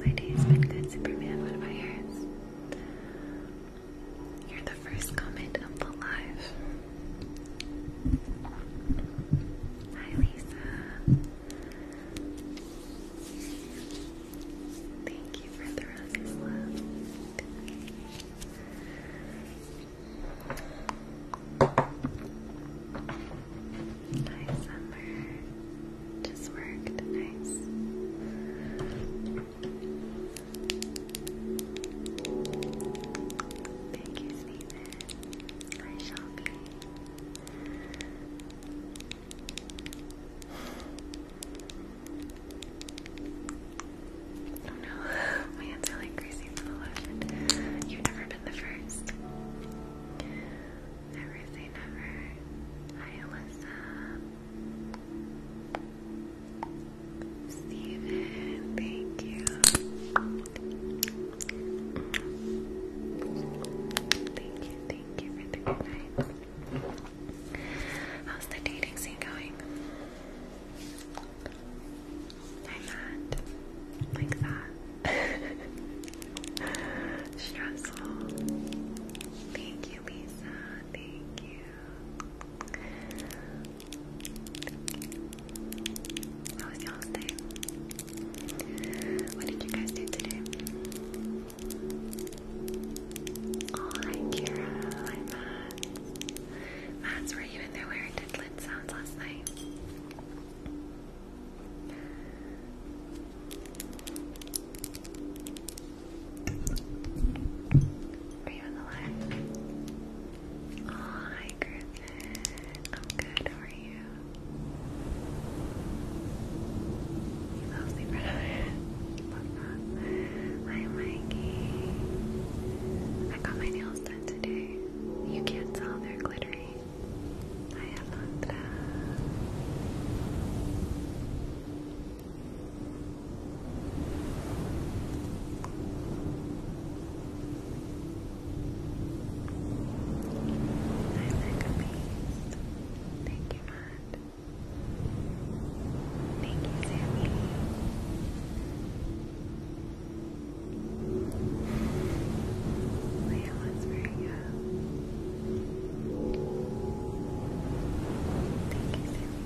My day has been good, Superman. What about yours? You're the first comment of the live. Hi, Lisa. Thank you for the roses, love. Hi, Summer. Just worked. Nice. Thank you, Steven. I shall be. Oh no, my hands are like greasy from the lotion. You've never been the first. Never say never. Hi, Alyssa. Steven, thank you. Thank you, thank you for the night. How's the dating scene going? Hi, Matt. Like that. Stressful. Thank you, Lisa. Thank you. How was y'all's day? What did you guys do today? Oh, hi, Kira. Hi, Matt. Matt, were you in there wearing did sounds last night? Are you on the line? Oh, hi, Griffin. I'm good. How are you? You love sleep Hi, Mikey. I got my nails done today. You can't tell they're glittery. Hi, Alondra. I like a piece. Thank you, Matt. Thank you, Sammy. Layla's very young. Thank you, Sammy.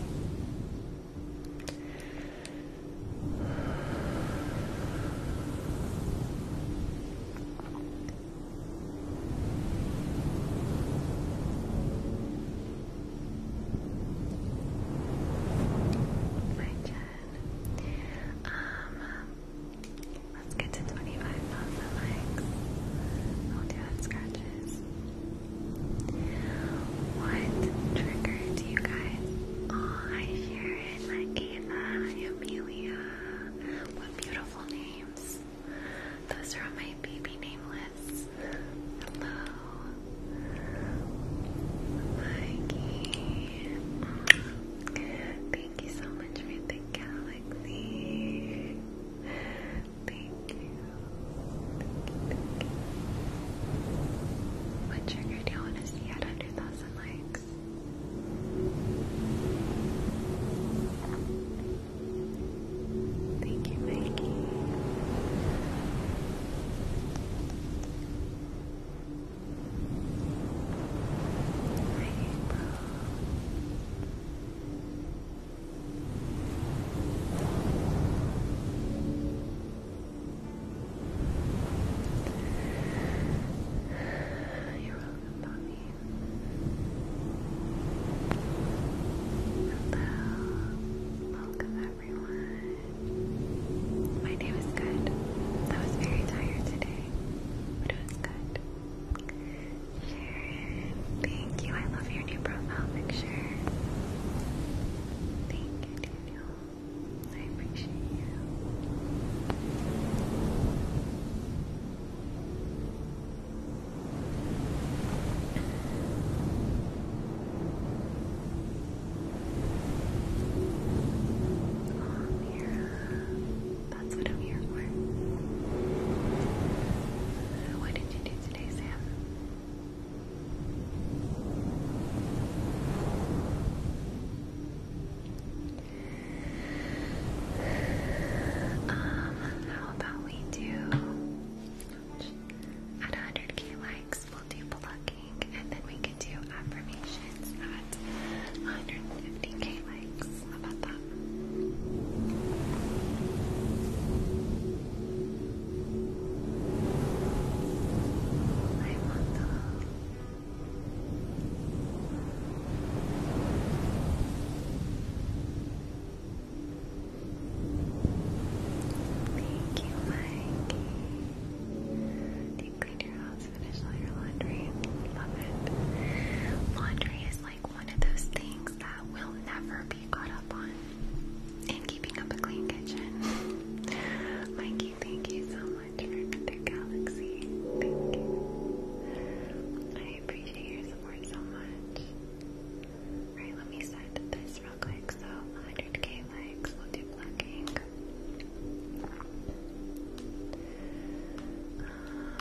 My Jen. Um. Let's get to 25,000 likes. I'll do that scratches. What triggered you guys? Oh, I hear it. Like Ava, Amelia. What beautiful names. Those are on my baby name list. Hello. Mikey. Thank you so much for the galaxy. Thank you. What trigger do you want to see at 100,000 likes? Thank you, Mikey. You're welcome, Hello. Welcome, everyone. My day was good. I was very tired today, but it was good. Sharon, thank you. I love your new profile picture. Thank you, Daniel. I appreciate you. Oh, Mira. That's what I'm here for. what did you do today, Sam? Um, how about we do at 100k likes, we'll do plucking and then we could do affirmations it's at 150k likes. How about that? I want Thank you, Mikey. Deep clean your house laundry. is like one of those things that will never be caught up on. And keeping up a clean kitchen. Mikey, thank you so much for the galaxy. Thank you. I appreciate your support so much. Alright, let me set this real quick. So 100k likes, will do plugging. Um, I thought. I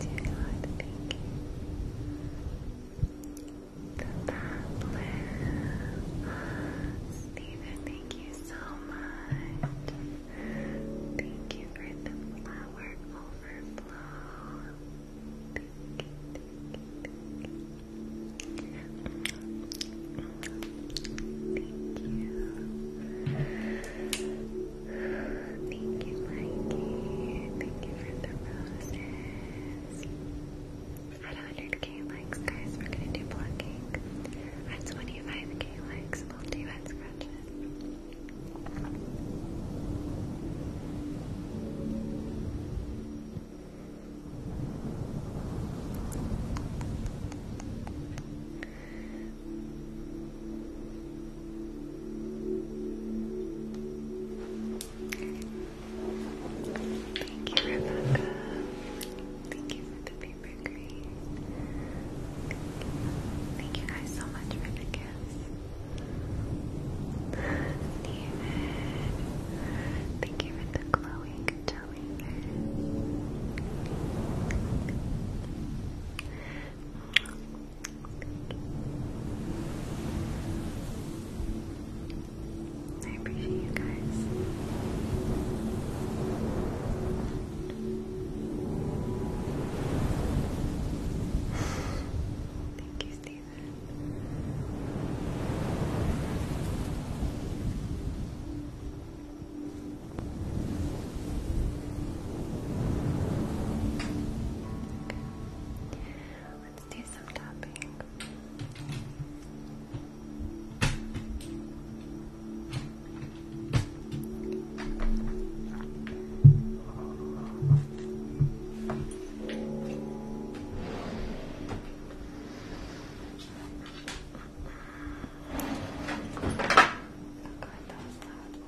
Dear God, thank you. The Pablo. Stephen, thank you so much. Thank you for the flower overflow. thank you. Thank you. Thank you, Mikey. Thank you for the roses. At 100k likes, guys, we're gonna do blocking. At 25k likes, we'll do head scratches. Thank you, Rebecca. Thank you for the paper green. Thank you, guys so much for the gifts. Thank you for the glowing towing. I appreciate you guys. Thank you, Steven. Let's do some tapping. Oh God, that was loud.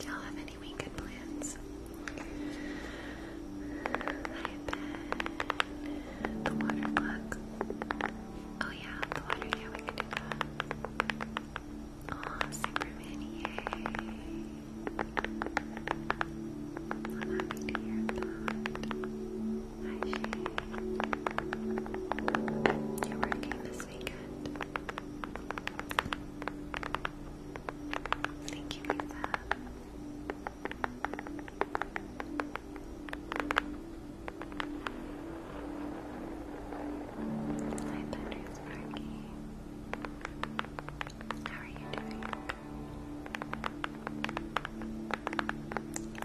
Y'all have any weekend plans? I bet the water plug. Oh yeah, the water, yeah, we can do that. Aw, I'm happy to hear Hi, Shay. You're working this weekend. Thank you, Lisa. Hi, Thunder How are you doing?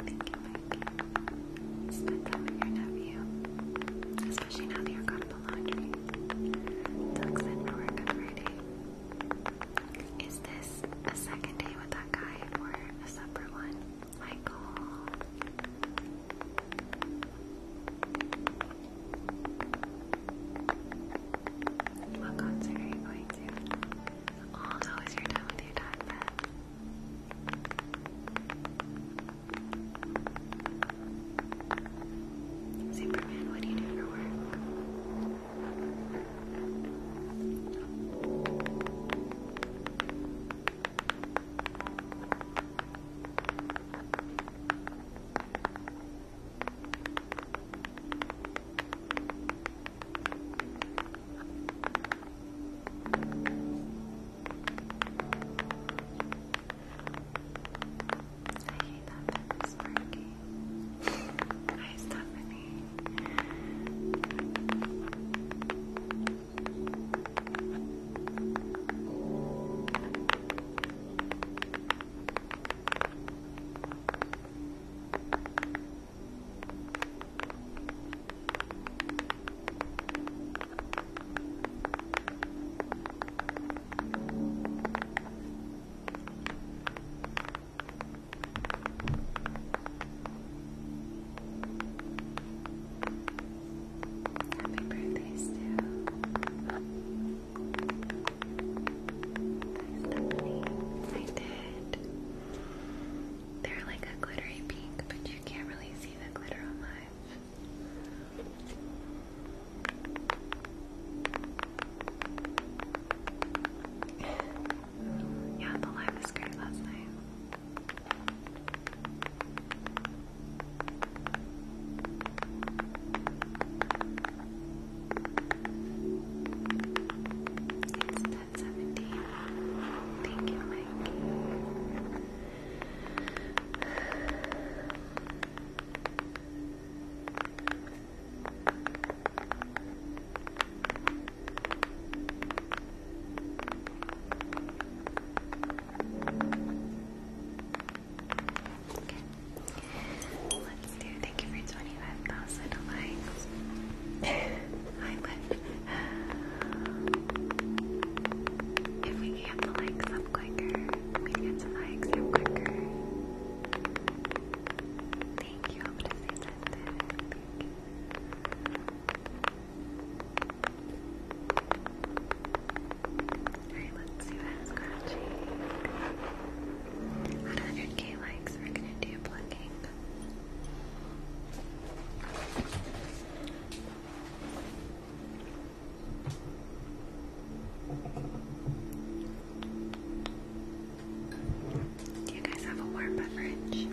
Thank you, it's the time of your nephew. Especially now that you're gone for laundry. Doug's in for work Friday. Is this a second day with that guy or a separate one? Michael. What concert are you going to? Oh, how your time with your dad, Brett? Superman, what do you do for work? I hate that bit is working. Hi, Stephanie. Hi, Happy birthday, Stu. Nice, I did. They're like a glittery pink, but you can't really see the glitter on live. yeah, the live was great last night. 17. Thank you, Mikey. Okay. Thank you for 25,000 likes. Hi, Lynn. If we get the likes up quicker, we get some likes up quicker. Thank you, Alright, let's see what scratching. 100k likes, we're gonna do plucking. Do you guys have a warm beverage?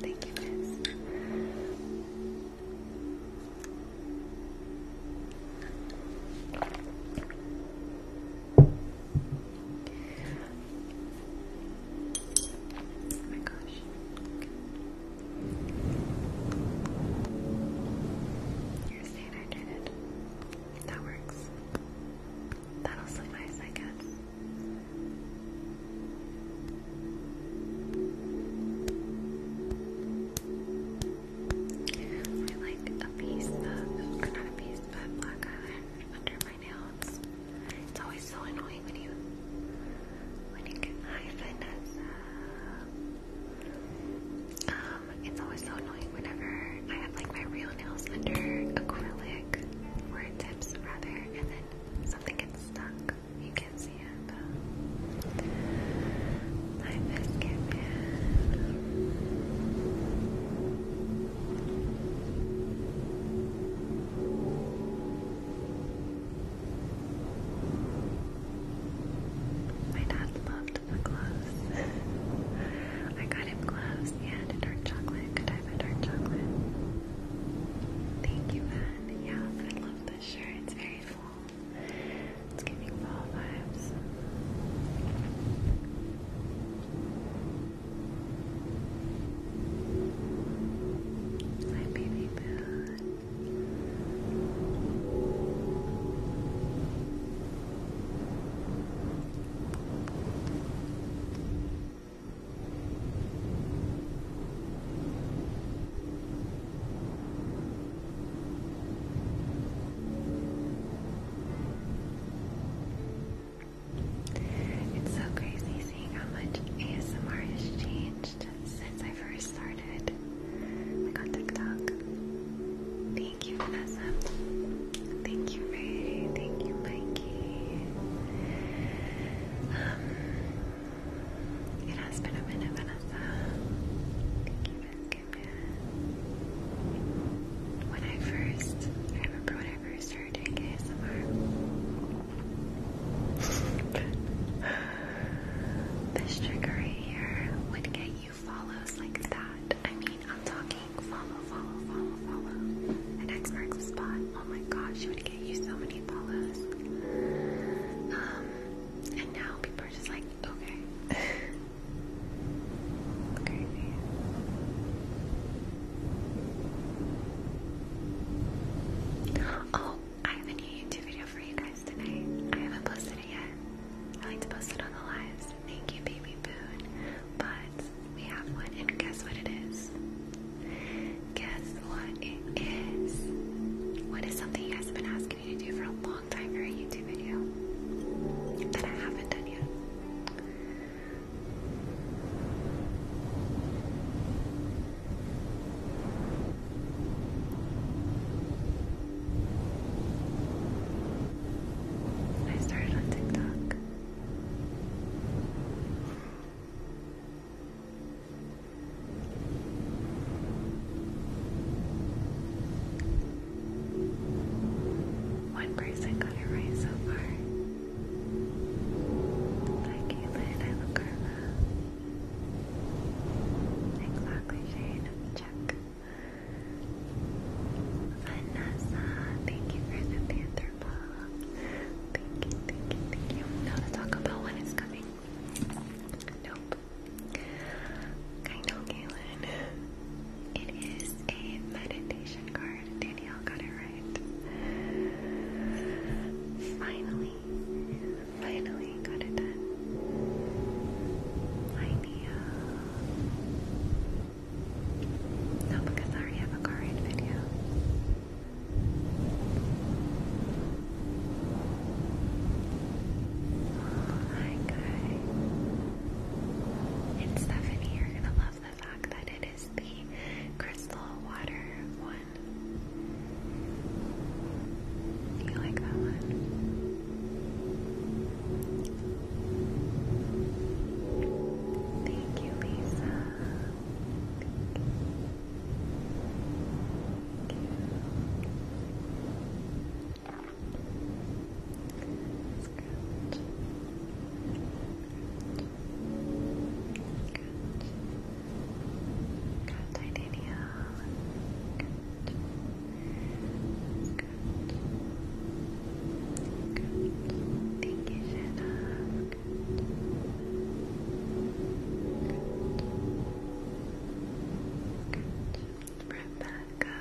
Thank you, Miss. Oh You're staying hydrated. That works. That'll suffice, I guess. I like a piece of, or not a piece, but black eyeliner under nails. It's always so annoying when you when you get high Um, it's always so annoying whenever I have like my real nails under acrylic or tips rather, and then something gets stuck. You can see it. I miss my dad loved the gloves. I got him gloves and a dark chocolate. Could I have dark chocolate? Thank you, man. Yeah, I love the shirt. It's very full. It's giving fall vibes. My baby boo. It's so crazy amazing how much ASMR has changed since I first started, like on TikTok. Thank you, Vanessa. Thank you, Ray. Thank you, Mikey. Um, it has been a minute, Vanessa. Thank you, Miss When I first, I remember when I first this trigger right here would get you follows like that. I mean, I'm talking follow, follow, follow, follow. An X marks the spot. Oh my gosh, you would get you so many follows. Um, and now people are just like, okay. Crazy. Oh, I have a new YouTube video for you guys tonight. I haven't posted it yet. I like to post it on the lives. Thank you, Baby Boon. But we have one, and guess what it is? Guess what it is? What is something you guys have been asking me to do for a long time for a YouTube video that I haven't done yet? I started on TikTok. One person got it right so far. Hi Caitlin, I love Exactly, Shane. Check. Vanessa, thank you for the panther ball. Thank you, thank you, thank you. Now to talk about when it's coming. Nope. I know, Galen. It is a meditation card. Danielle got it right. Finally. Finally got it done. Linea. No, because I already have a card video. Oh my god. And Stephanie, you're gonna love the fact that it is the crystal water one you like that one? Thank you, Lisa. Thank you. Good, titanium. Good. Good. Thank you, Jenna. Good. Good. Good.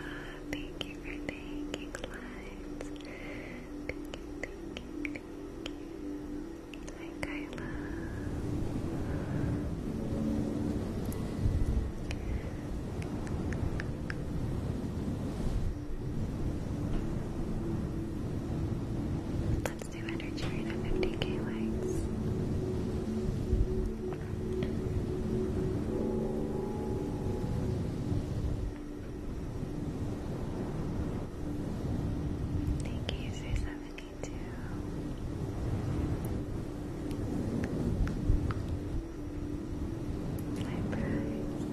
thank you for thanking lines. Thank you, thank thank you. Hi, Kyla. Let's do energy k likes. Thank you, do. Hi, Bryce.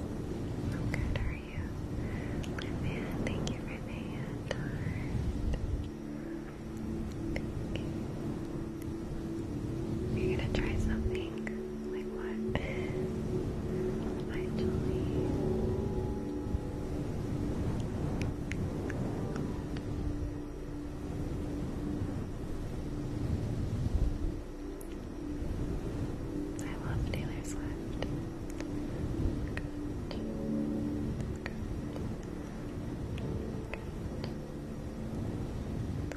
i good, are you? Livia, thank you for the hand you. are gonna try something? Like what? Hi, Julie. I love Taylor Swift. Good. Good. Good.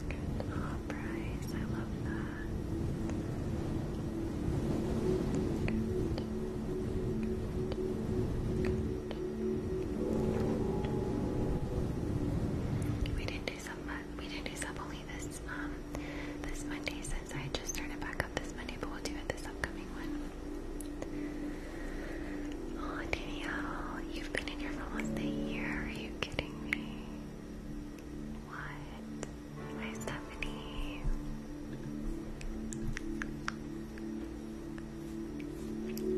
Good. Oh, Bryce, I love that. We didn't do some uh, we didn't do sub only this um this Monday since I just started back up this Monday, but we'll do it this upcoming one. Oh Danielle, you've been in here for almost a year. Are you kidding me? What? Hi Stephanie.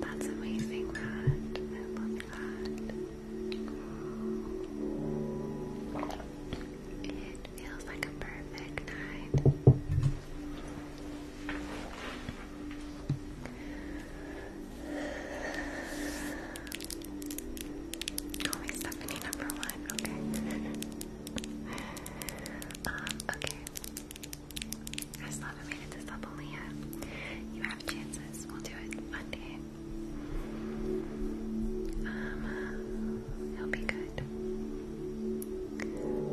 That's amazing, Matt. I love that. It feels like a perfect night. Call me Stephanie number one, okay. Um, okay. I still haven't made it to Sapolia. You have chances. We'll do it one day. Um, it'll be good.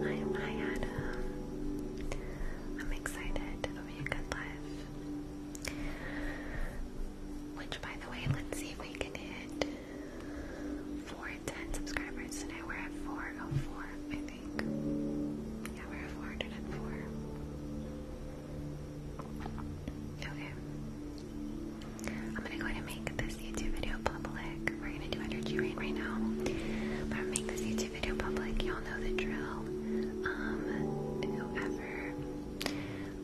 I, I um, I'm excited. It'll be a good life. Which, by the way, let's see if we can hit 410 subscribers today. We're at 404, I think. Yeah, we're at 404. Okay. I'm gonna go and make this YouTube video public. We're gonna do energy rain right now. But I'm gonna make this YouTube video public. Y'all know the drill. Um, whoever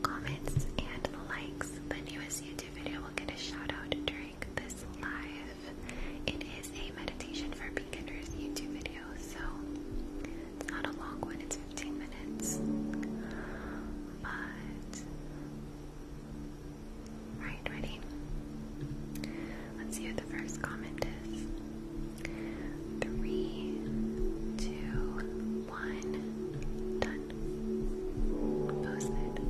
comments and likes the newest YouTube video will get a shout out during this live. It is a meditation for beginners YouTube video, so it's not a long one, it's 15 minutes. But, right, ready? Let's see what the first comment is. Three, two, one, done. Posted.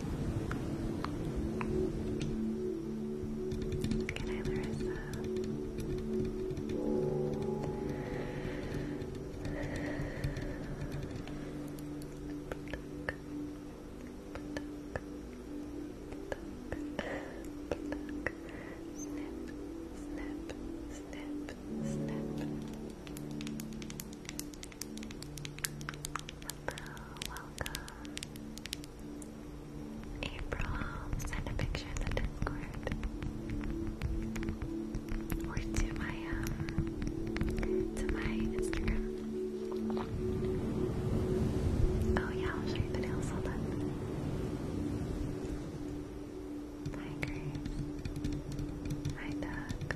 Good night, Larissa. Snip, snip, snip, snip welcome. April, send a picture in Discord. Or to my um to my Instagram. Oh yeah, I'll show you the nails, hold up. Hi Grace. Hi Doug.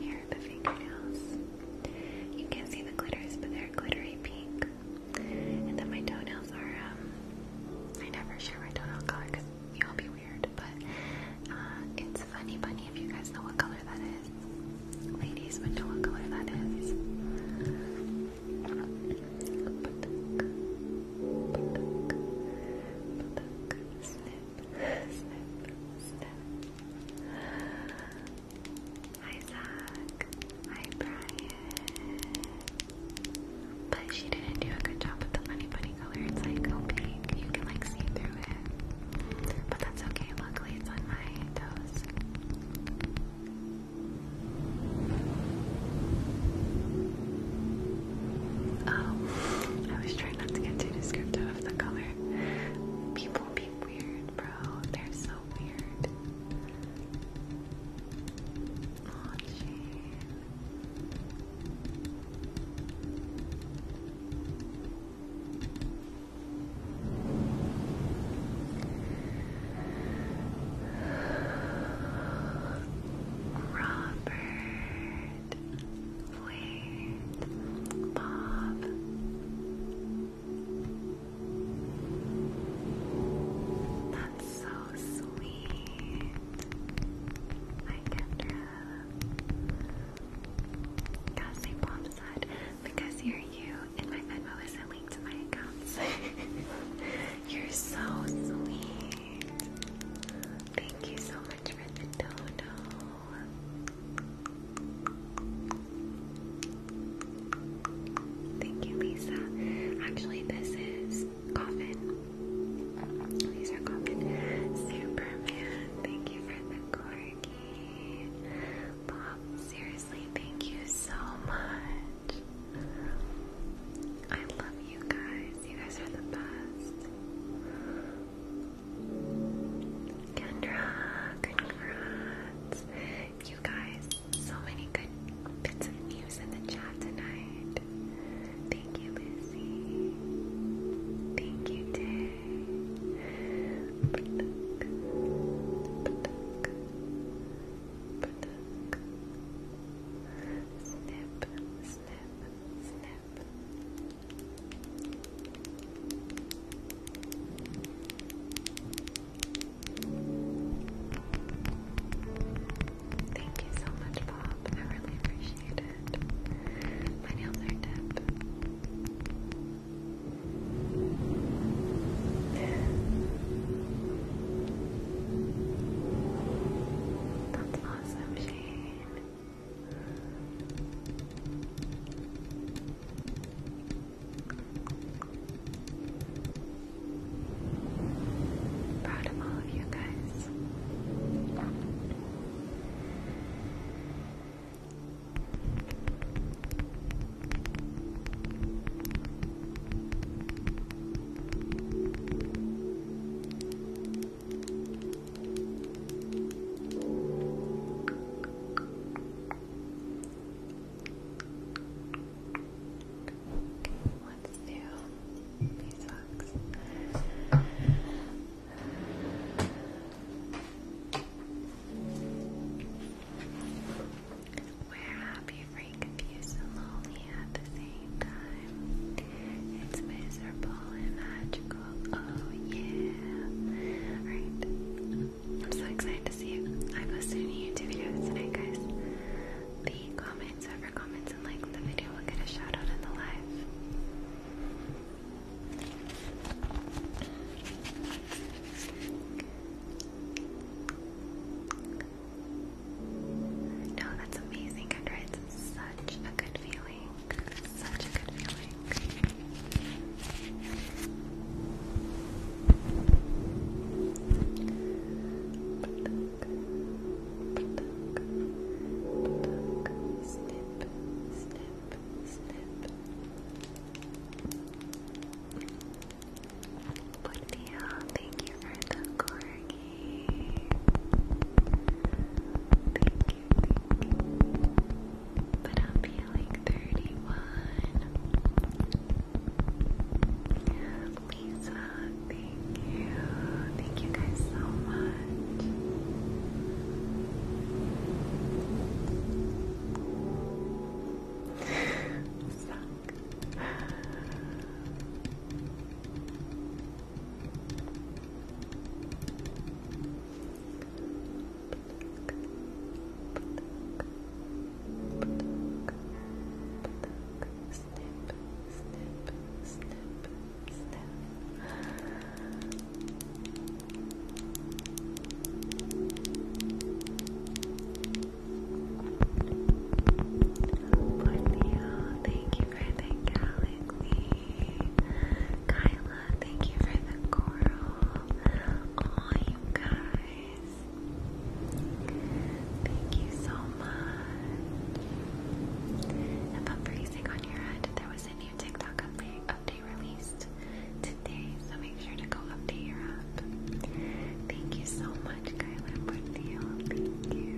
Here are the fingernails. You can't see the glitters, but they're glittery pink. And then my toenails are, um, I never share my toenail color because you all be weird, but uh, it's funny bunny if you guys know what color that is. Ladies what color that is. Hi Zach. Hi Brian. But she didn't do a good job with the funny bunny color. It's like opaque. Oh, you can like see through it. But that's okay. Luckily it's on my toes. Oh, I was trying not to get too descriptive the color. People be weird, bro. They're so weird. Oh, Robert. Wait, Bob. That's so sweet. I kept her. Cassie Bob because you're you and my Venmo isn't linked to my accounts. you're so sweet. Thank you so Thank you, Lisa. Actually, this is Coffin. These are Coffin. Superman, thank you for the corgi. Bob, seriously, thank you so much. I love you guys. You guys are the best. Kendra, congrats. You guys, so many good bits of news in the chat tonight. Thank you, Lizzie. Thank you, Day. Thank you so much, Bob. I really appreciate it. My nails are dead. That's awesome, Shane. Proud of all of you guys let's do socks. we happy, free, confused, and lonely at the same time. It's miserable and magical. Oh yeah. Alright. I'm so excited to see you. I posted a new YouTube video tonight, guys. The comments, whoever comments and likes the video will get a shout out in the live. No, that's amazing, Kendra. It's such a good feeling. Such a good feeling. Snip, snip, snip. Budia, thank you for the corgi. But I'm feeling 31. Lisa, thank you. Thank you guys so much. Suck snip, snip, snip. thank you for the galaxy. Thank you for the coral. Aw, you guys. Thank you so much. If freezing on your head, there was a new TikTok update, released today, so make sure to go update your app. Thank you so much, Kyla Portillo. Thank you.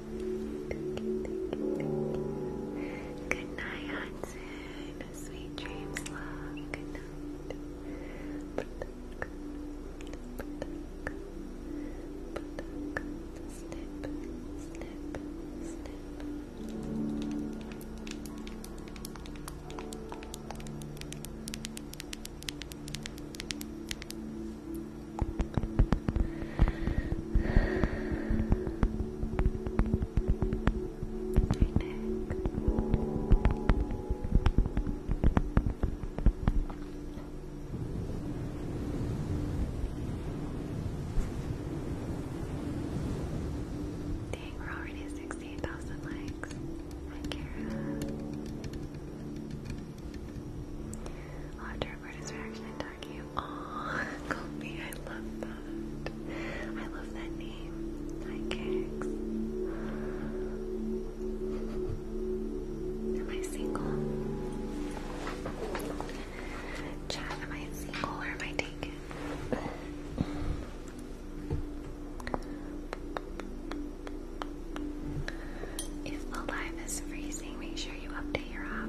Good night, Hudson. Sweet dreams, love. Good night. Snip, snip, snip. Dang, we're already at 68,000 likes. Hi, I'll have to record his reaction dark Colby, I love that. I love that name. Hi, Kicks. Am I single? Chat, am I single or am I taken? If the live is freezing, make sure you update your app.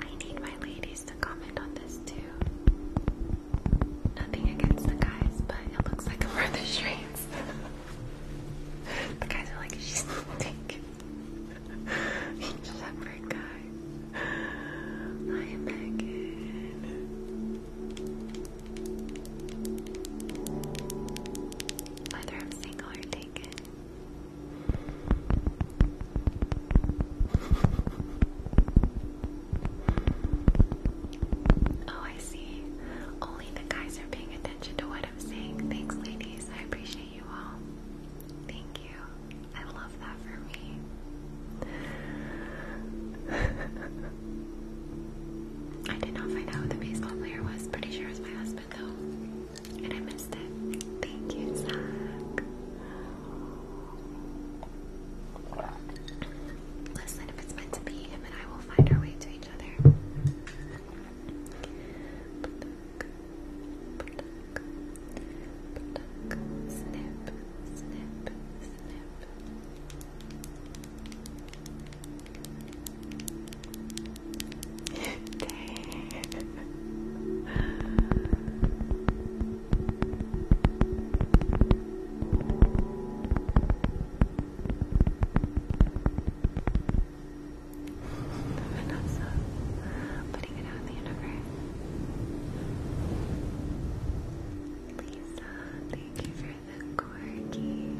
I need my ladies to comment on this too. Nothing against the guys, but it looks like I'm the the guys are like, she's thick. Shepherd guy. I am Megan. Whether I'm single or taken, Oh, I see. Only the guys are paying attention to what I'm saying. Thanks, ladies. I appreciate you all. Thank you. I love that for me. I did not find out who the baseball player was. Pretty sure it my husband, though and I missed it. Thank you, Zach. Listen, if it's meant to be, him and I will find our way to each other. snip, snip, snip. Dang. Vanessa, putting it out in the universe. Lisa, thank you for the quirky.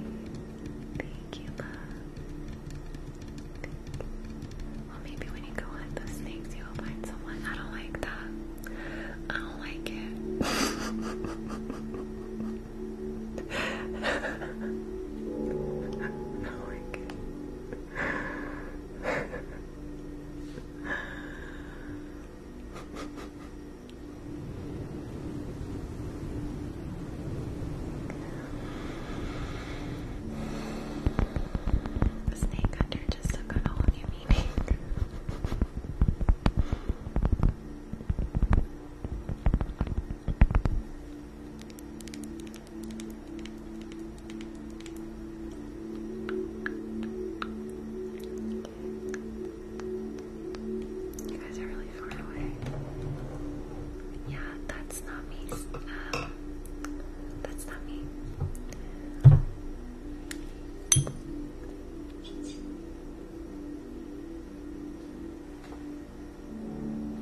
Thank you, love. Thank you. Well, maybe when you go hunt those things, you will find someone. I don't like that. I don't like it. I don't like it. The snake hunter just took on a whole meaning. You guys are really far away. Yeah, that's not me. Um, that's not me.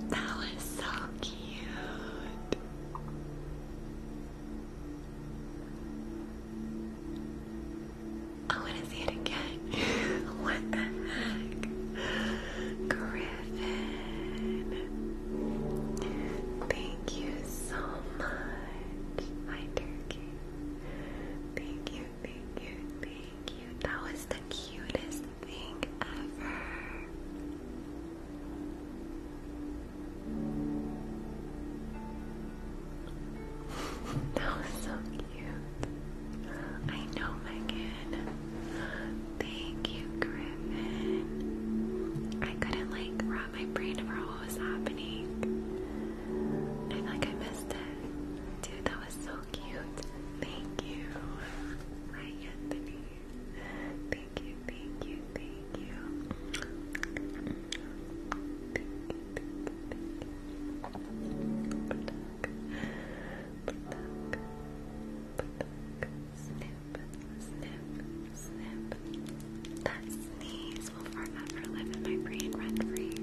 That was so cute. I want to see it again. what the heck? Griffin. Thank you so much, my turkey. Thank you, thank you, thank you. That was the cutest thing ever. That was so cute. I know, Megan. Thank you, Chris. I couldn't like wrap my brain around what was happening. I feel like I missed it. Dude, that was so cute. Thank you. Hi Anthony. Thank you, thank you, thank you. Snack, snip, snip, snip. That sneeze will forever live in my brain rent free.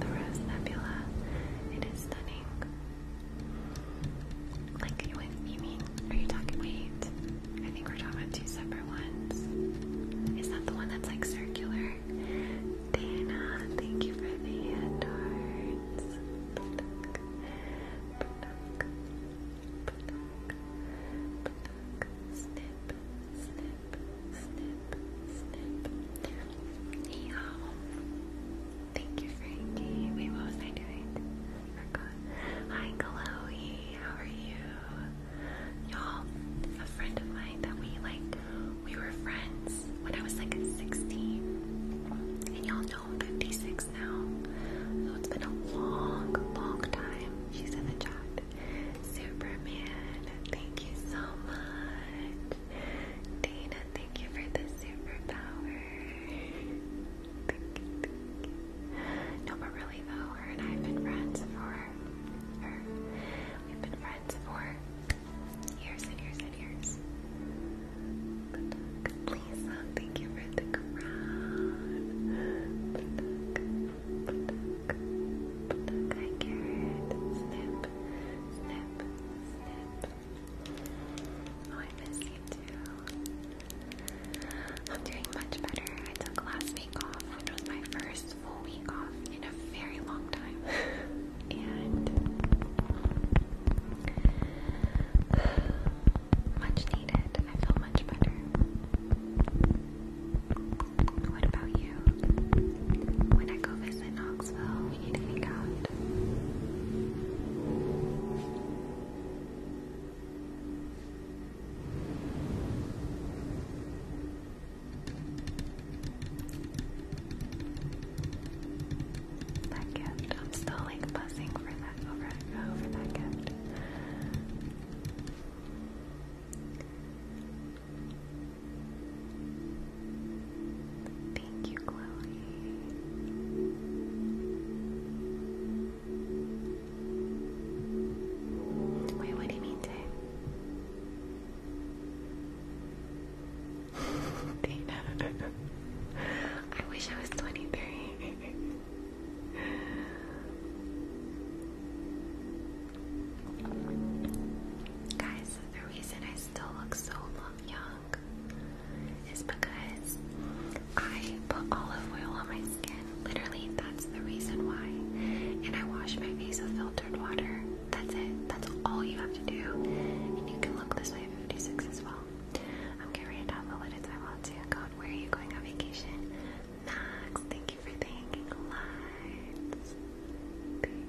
The Rose Nebula it is stunning. Like, you, you mean, are you talking, wait, I think we're talking two separate ones. Is that the one that's like circular? Dana, thank you for the hand snip, snip, snip, snip. Hey, Thank you, Frankie. Wait, what was I doing? forgot. Hi, Chloe. How are you? Y'all, a friend of mine that we like, we were friends when I was like 16. And y'all know I'm 56 now. So it's been a long, long time. She's in the chat. Superman, thank you so much. Dana, thank you for the superpower. thank No, but really though, her have been friends for We've been friends for years and years and years. Lisa, thank you for the crown. Hi, Garrett. Snip, snip, Oh, I miss you too. I'm doing much better. I took last week off, which was my first full week off in a very long time. and much needed. I feel much better. What about you? when I go visit Knoxville eating out. That gift, I'm still like buzzing for that over over that gift. Thank you, Chloe. Wait, what do you mean, Dave? I wish I was 23. Guys, the reason I still look so Young is because I put olive oil on my skin. Literally, that's the reason why. And I wash my face with filtered water. That's it. That's all you have to do. And you can look this way at 56 as well. I'm carrying down the lid I want to. God, where are you going on vacation? Max, thank you for thanking lights.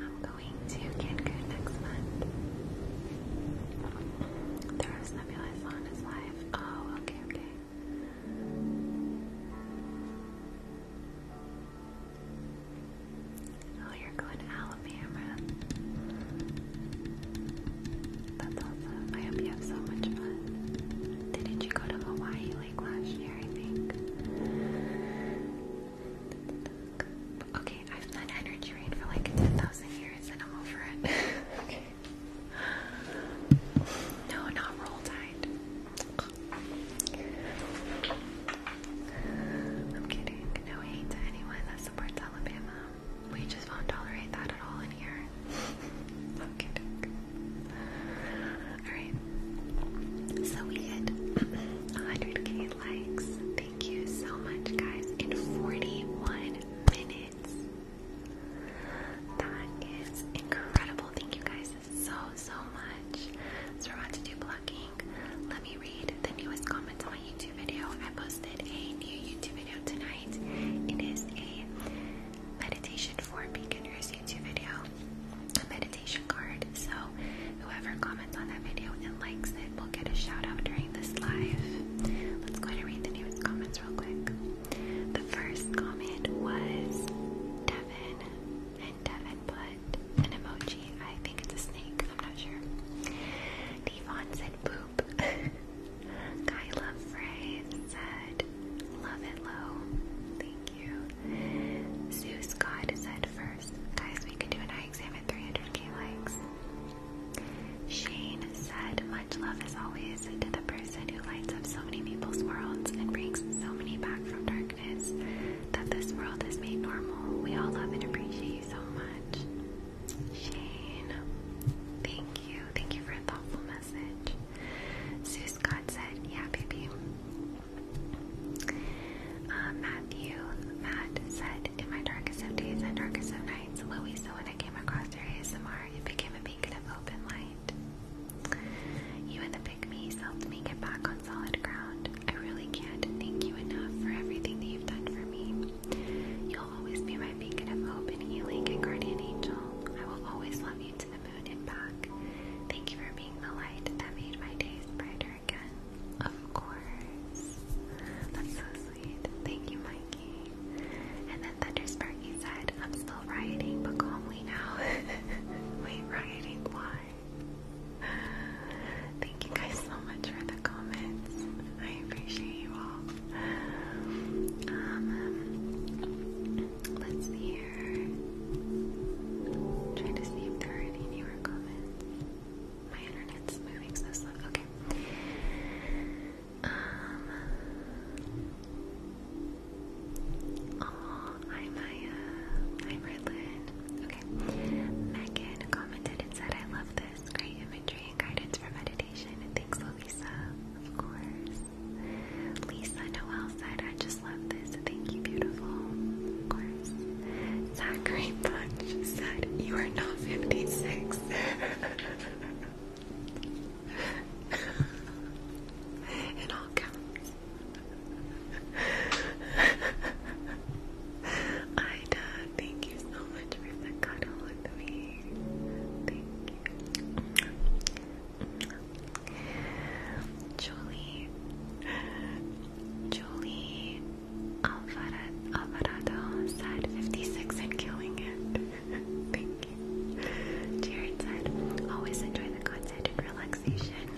I'm going to Cancun next month. There is Nebulous on his life. Oh, okay, okay. Oh, you're going to Alabama. That's awesome. I hope you have so much fun. Didn't you go to Hawaii like last I think? Okay, I've been energy rain for like 10,000 years and I'm over it. okay. No, not roll tide. I'm kidding. No hate to anyone that supports Alabama. We just won't tolerate that at all in here. I'm So we hit 100k Thank you so much, guys. In 41 minutes. That is incredible. Thank you guys so, so much. So, we're about to do blocking. Let me read the newest comments on my YouTube video. I posted a new YouTube video tonight. It is a meditation for beginners YouTube video, a meditation card. So, whoever comments on that video and likes it will get a shout out during this live. Let's go ahead and read the newest comments real quick. The first comment was Devin, and Devin put an emoji. I think it's a snake, I'm not sure. Devon said poop. Kyla Frey said, Love it low. Thank you. Zeus God said first. Guys, we can do an I examined 300k likes. Shane said, Much love as always to the person who lights up so many people's worlds and brings so many back from darkness that this world is made normal. We all love and appreciate you so much. Shane, thank you. Thank you for a thoughtful message. Sue Scott said, Yeah, baby. Uh, Matthew, Matt said, in my darkest of days and darkest of nights, Louisa, when I came across your ASMR, it became a beacon of open light. You and the pygmies helped me get back on solid ground. I really can't thank you enough for everything that you've done for me. You'll always be my beacon of hope and healing and guardian angel. I will always love you to the moon and back. Thank you for being the light that made my days brighter of course. That's so sweet. Thank you, Mikey. And then Thunder Sparky said, I'm still rioting, but calmly now. Wait, rioting? Why? Thank you guys so much for the comments. I appreciate you all. Um, let's see here. trying to see if there are any newer comments. My internet's moving so slow. Okay. Um. Oh, hi Maya. Hi Redlin. Okay. Megan commented and said, "I love this. Great imagery and guidance for meditation." Thanks, Lisa. Of course. Lisa Noel said, "I just love this. Thank you, beautiful." Of course. Zachary Punch said, You are not 56. it all counts. Ida, thank you so much for the cuddle with me. Thank you. Julie. Julie Alvarado said 56 and killing it. Thank you. Jared said, always enjoy the content and relaxation.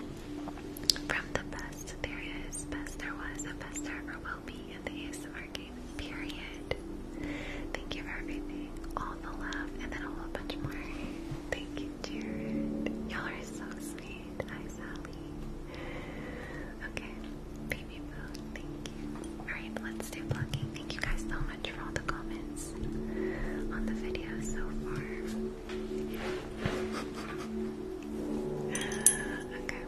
From the best there is, best there was, and best there ever will be in the ASMR game, period. Thank you for everything, all the love, and then a whole bunch more. Thank you, Jared. Y'all are so sweet. Hi, Sally. Okay, baby bone, thank you. Alright, let's do plucking. Thank you guys so much for all the comments on the video so far. okay.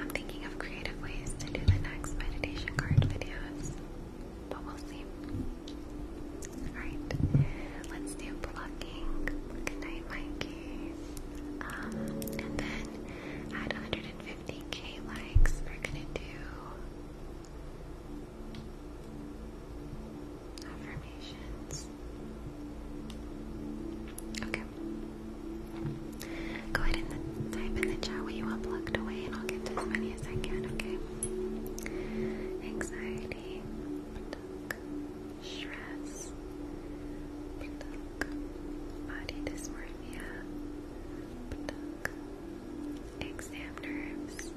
I'm thinking of creative ways to do the next meditation card videos. But we'll see. Alright. Let's do plucking. Good night, Mikey. Um, and then at 150k likes, we're gonna do affirmations. Okay. Go ahead and type in the chat what you want plugged away, and I'll get as many as I can, okay? Anxiety stress, body dysmorphia, exam nerves,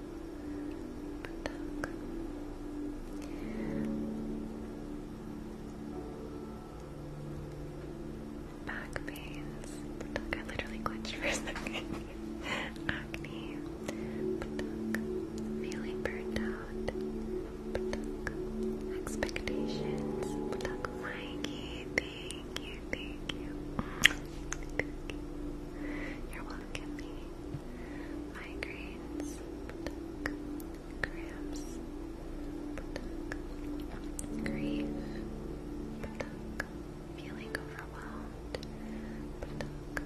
Back pains. I literally clenched for a second. Acne. Feeling burned out expectations, Thank you, thank you. Thank you. You're welcome, me. Migraines, cramps, grief, feeling overwhelmed, pluck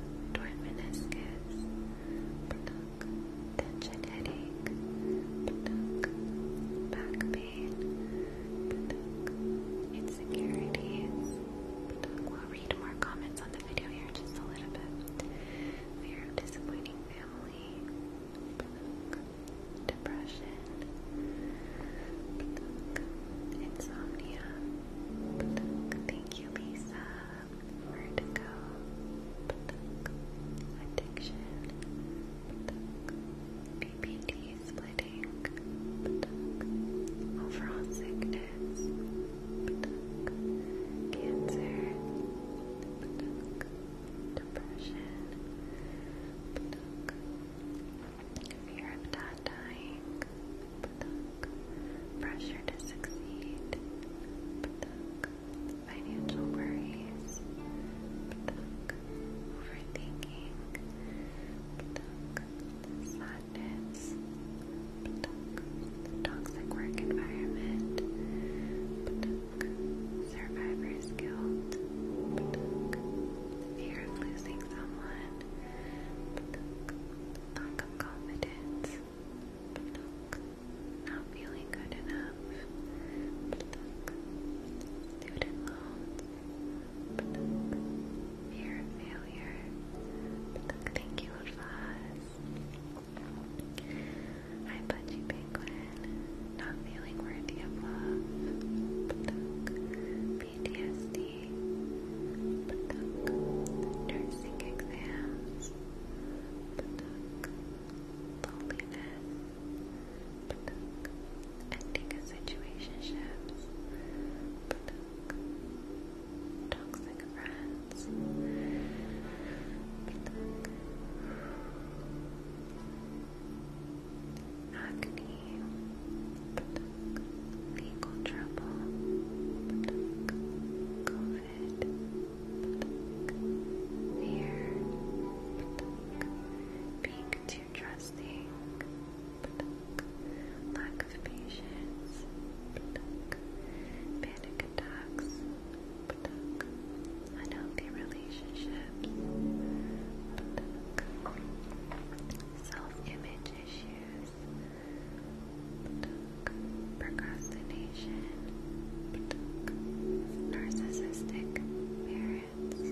tension headache, back pain, insecurities, We'll read more comments on the video here just a little bit. Fear disappointing family, depression, insomnia, Thank you, Lisa vertigo, addiction, PPD splitting, overall sickness, cancer, depression, fear of not dying, pressure to succeed, financial worries, overthinking, sadness, toxic work environment, survivor's guilt, fear of losing someone, lack of confidence, not feeling good enough. Pluck. Leave Fear of failure. Thank you, Fuzz. I Pudgy Not feeling worthy of love. PTSD. Nursing exams loneliness, pluck, ending of situationships, pluck, toxic friends, acne, legal trouble, COVID it. Here. Being too trusting. Lack of patience. Panic attacks. Unhealthy relationships. Self image issues. Procrastination narcissistic parents,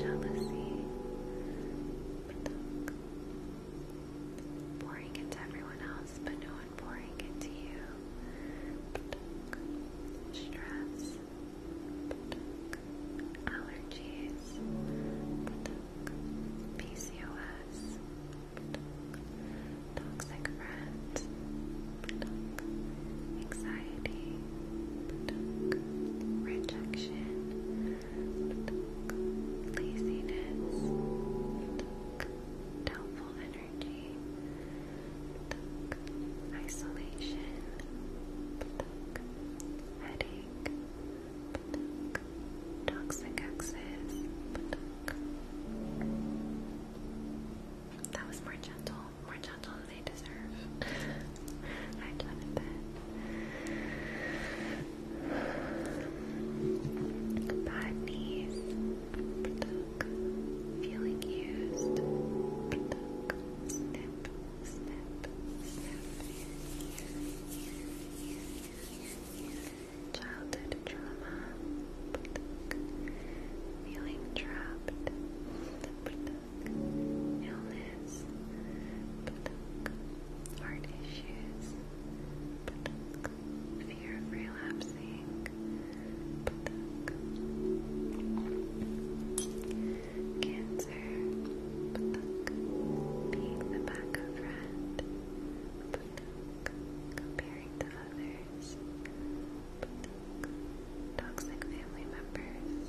jealousy, pouring it everyone else, but no one pouring it you, stress, allergies, PCOS toxic friends, anxiety, rejection, laziness, doubtful energy, isolation, headache, toxic excess. That was more gentle, more gentle than they deserve. I done a Bad knees. Feeling used. Snip, snip, snip childhood trauma, feeling trapped, illness, heart issues, fear of relapsing, cancer, being the backup friend, comparing to others members, toxic family members,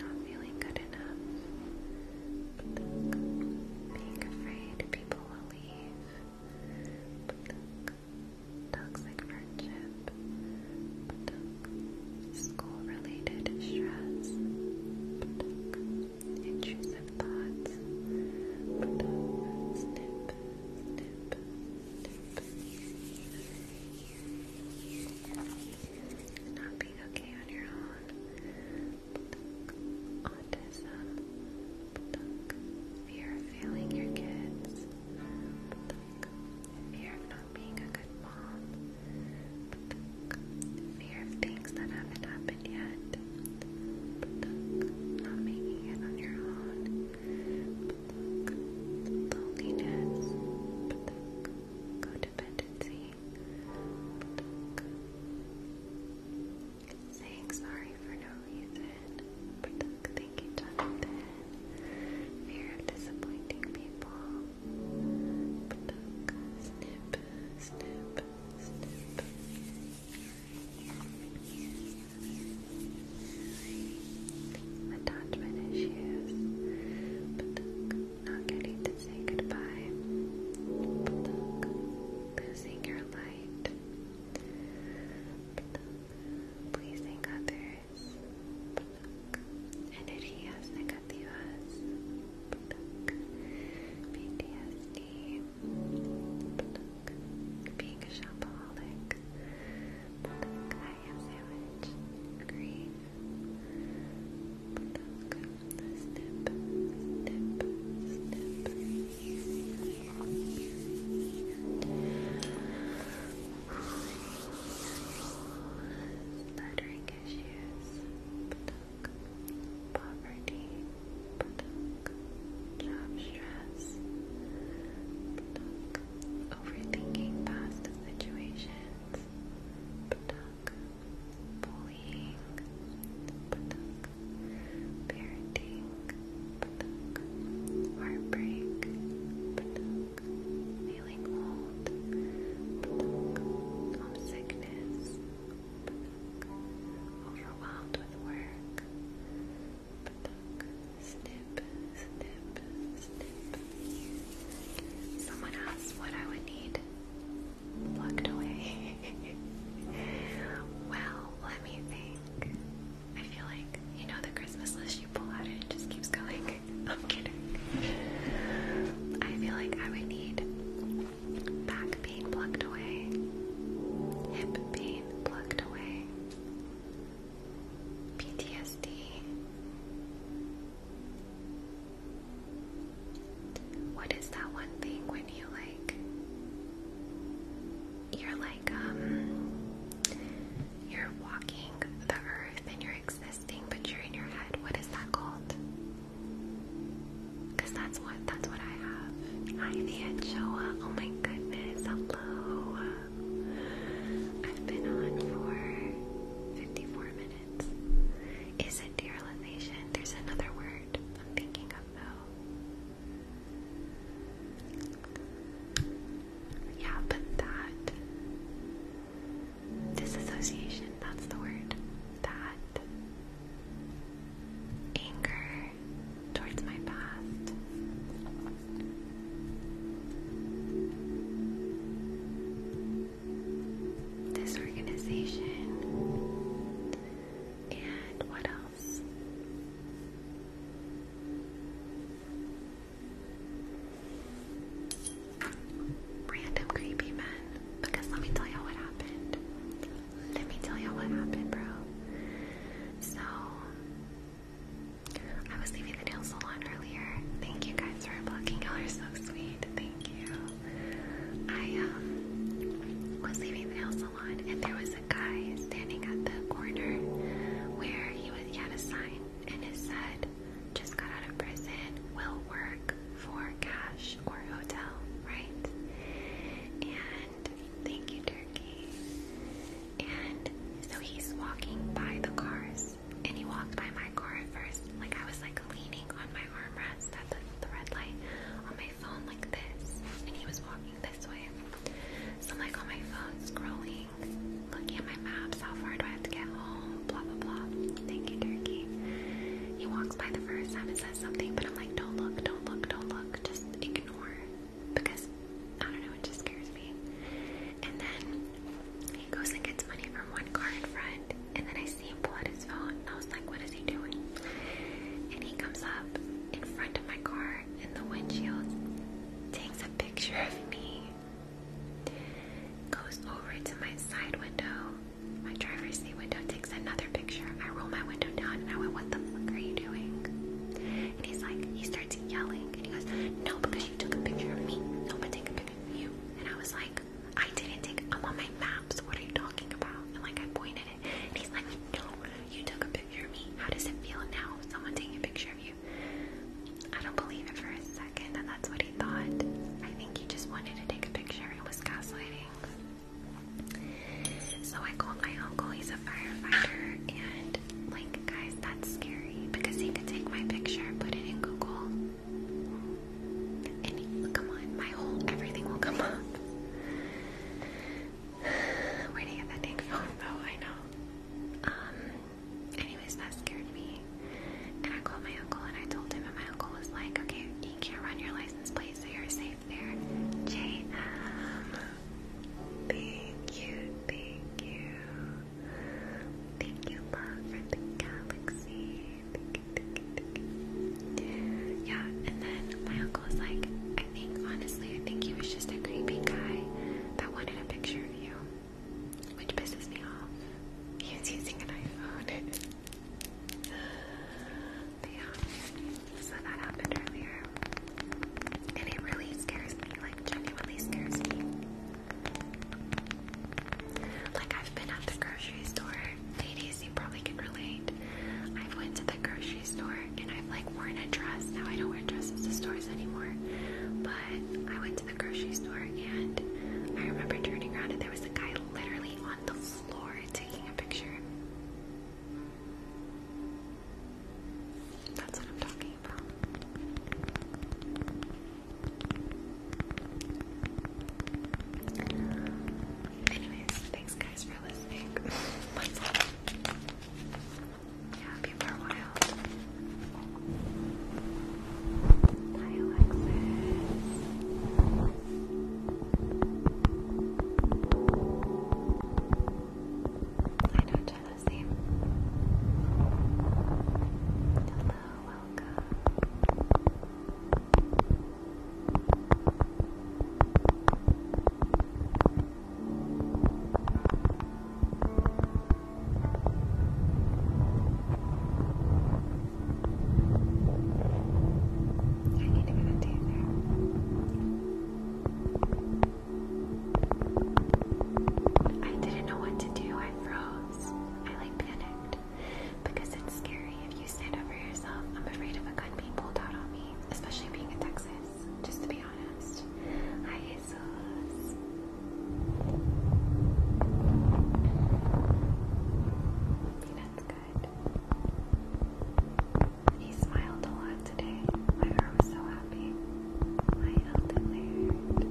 not feeling good enough, being afraid people will leave, toxic friendship, school related stress, intrusive thoughts. Put up, snip, snip, snip. Not being okay on your own. Autism. Fear of failing your kids. Fear of not being a good mom. Fear of things that haven't happened yet. Pluck, not making it on your own. loneliness. codependency. saying sorry for no reason. Pluck, thinking Jonathan. Fear of disappointing people. snip, snip, snip. Attachment issues, not getting to say goodbye, losing your light, pleasing others, but negativas, PTSD, being a shopaholic, I am sandwich, green, snip, snip, snip. Stuttering issues, poverty, Job stress. Overthinking past situations. Bullying. Parenting. Heartbreak. Feeling old. Homesickness. Overwhelmed with work. Someone asked what I would need plugged away. well, let me think. I feel like, you know, the Christmas list you pull out, it just keeps going. i kidding. I feel like I would need back pain plugged away, hip pain plugged away. PTSD. What is that one thing when you like you're like um you're walking the earth and you're existing but you're in your head. What is that called? Cuz that's what that's what I have. Hi, the Anchoa. Oh my goodness, hello. I've been on for 54 minutes. Is it derealization? There's another word I'm thinking of though. Yeah, but that. Disassociation, that's the word. That. Anger, towards my past. This organization and what else? Random creepy men. Because let me tell you what happened let me tell you what happened, bro. So, I was leaving the nail salon earlier. Thank you guys for blocking. Y'all are so sweet. Thank you. I um, was leaving the nail salon, and there was a guy standing at the corner where he was. He a sign, and it said, "Just got out of prison. Will work for cash or hotel." Right? And thank you, Turkey. And so he's walking by the cars, and he walked by my car at first. Like I was like leaning on my armrest at the, the red light on my phone like this, and he was walking this way. So I'm like on my phone scrolling, looking at my maps, how far do I have to get home, blah blah blah. Thank you, Turkey. He walks by the first time and says something, but I'm like, don't look, don't look, don't look, just ignore because I don't know, it just scares me. And then he goes and gets money from one car in front, and then I see him pull out his phone, and I was like, What is he doing? And he comes up in front of my car, and the windshield takes a picture of me, goes over to my side window, my driver's seat window, takes another picture. I roll my window down, and I went, What the fuck are you doing? And he's like, he starts yelling, and he goes, "No, because you took a picture of me. No one take a picture of you." And I was like, "I didn't take. I'm on my maps. What are you talking about?" And like I pointed it, and he's like, "No, you took a picture of me. How does it feel now? Someone taking a picture of you?" I don't believe it for a second and that's what he thought. I think he just wanted to take a picture and was gaslighting. So I called my uncle, he's a firefighter, and like, guys, that's scary because he could take my picture, put it in Google, and come on, my whole everything will come up. Where do you get that dang phone though? I know. Um, anyways, that scared me. And I called my uncle and I told him, and my uncle was like, okay, you can't run your license plate, so you're safe there. J.M. Thank you, thank you. Thank you, love, for the galaxy. Yeah, and then my uncle was like, I think, honestly, I think he was just a creepy guy that wanted a picture of you, which pisses me off. He was using an iPhone. yeah. So that happened earlier. And it really scares me, like genuinely scares me. Like I've been at the grocery store. Ladies, you probably can relate. I've went to the grocery store and I've like worn a dress. Now I don't wear dresses to stores anymore. But I went to the grocery store and I remember turning around and there was a guy literally on the floor taking a picture. That's what I'm talking about. Anyways, thanks guys for listening. Yeah, people are wild. Hi Alexis. I know Lizzie. Hello, welcome. I need to get a taser. I didn't know what to do. I froze. I like panicked because it's scary if you stand up yourself. I'm afraid of a gun being pulled out on me, especially being in Texas. Just to be honest. Hi, Jesus. That's good he smiled a lot today. My heart was so happy. My elden laird.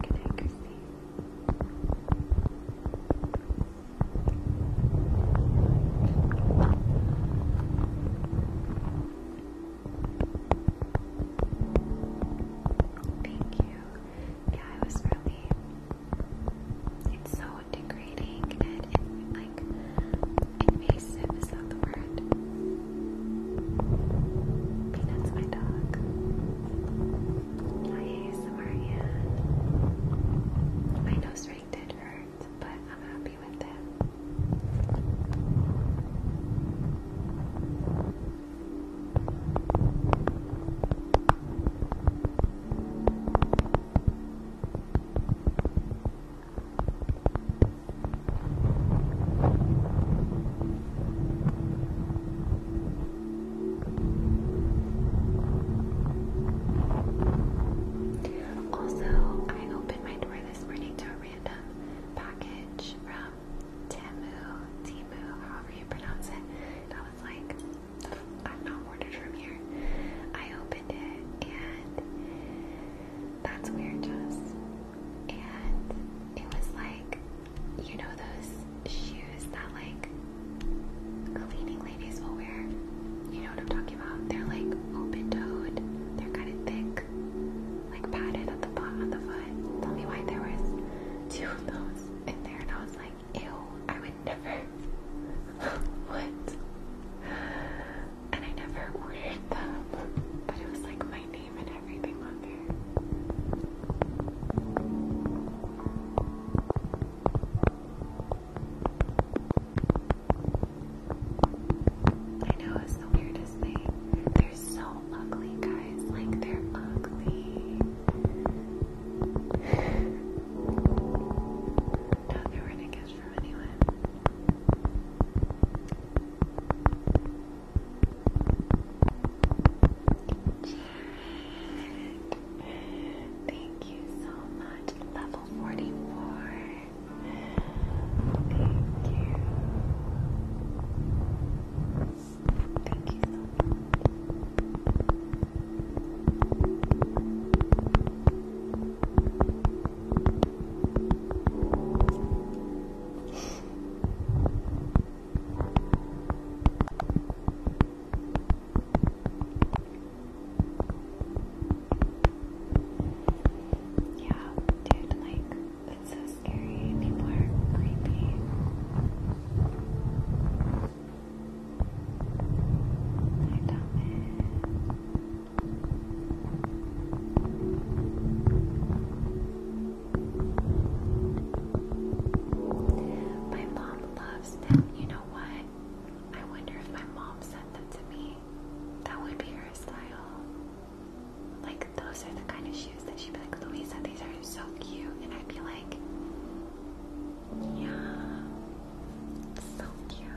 Good night, Christy. Thank you. Yeah, I was really it's so degrading and, like invasive is that the word? Peanut's my dog. Hi Samarian. My nose ring did hurt, but I'm happy with it. Also, I opened my door this morning to a random package from Temu, Temu, however you pronounce it. And was like, i am not wearing from here. I opened it and that's weird just. And it was like, you know those shoes that like cleaning ladies will wear? You know what I'm talking about? They're like open-toed. They're kind of thick, like padded at the bottom of the foot. Tell me why there was two of those in there and I was like, ew, I would never. what? And I never ordered them, but it was like my name and everything on there. I know it's the weirdest thing. They're so ugly, guys. Like, they're ugly. Don't know where to get from anyway. thank you so much. Level 44. Thank you. Thank you yeah, dude, like. It's so scary. People are creepy. My mom loves them. You know what? I wonder if my mom sent them to me. That would be her style. Like, those are the kind of shoes that she'd be like, Louisa, these are so cute. And I'd be like, yeah, so cute.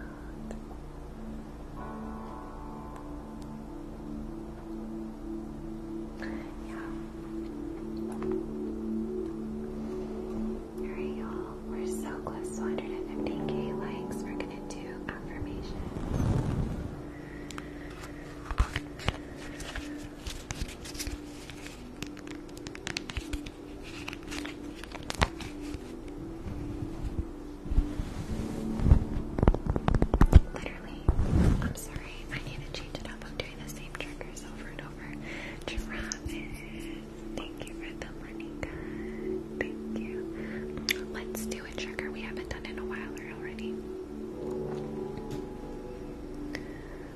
Yeah. Alright, y'all. We're so close to 150k likes. We're gonna do affirmations. Literally, I'm sorry, I need to change it up. I'm doing the same triggers over and over. Giraffe, thank you for the money, Thank you. Let's do a trigger we haven't done in a while already.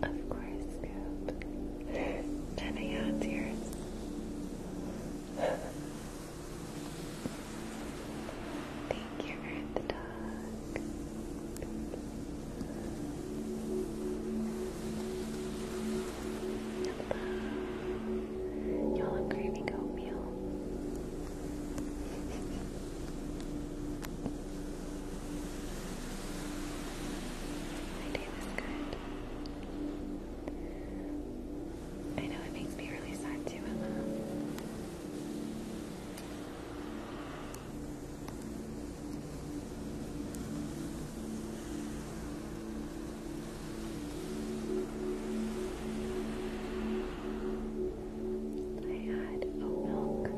Of course, Scoop. Jenny, yeah, yours. Thank you, Earth Hello. Y'all are craving oatmeal. My day was good. I know it makes me really sad too, Emma. I had a milk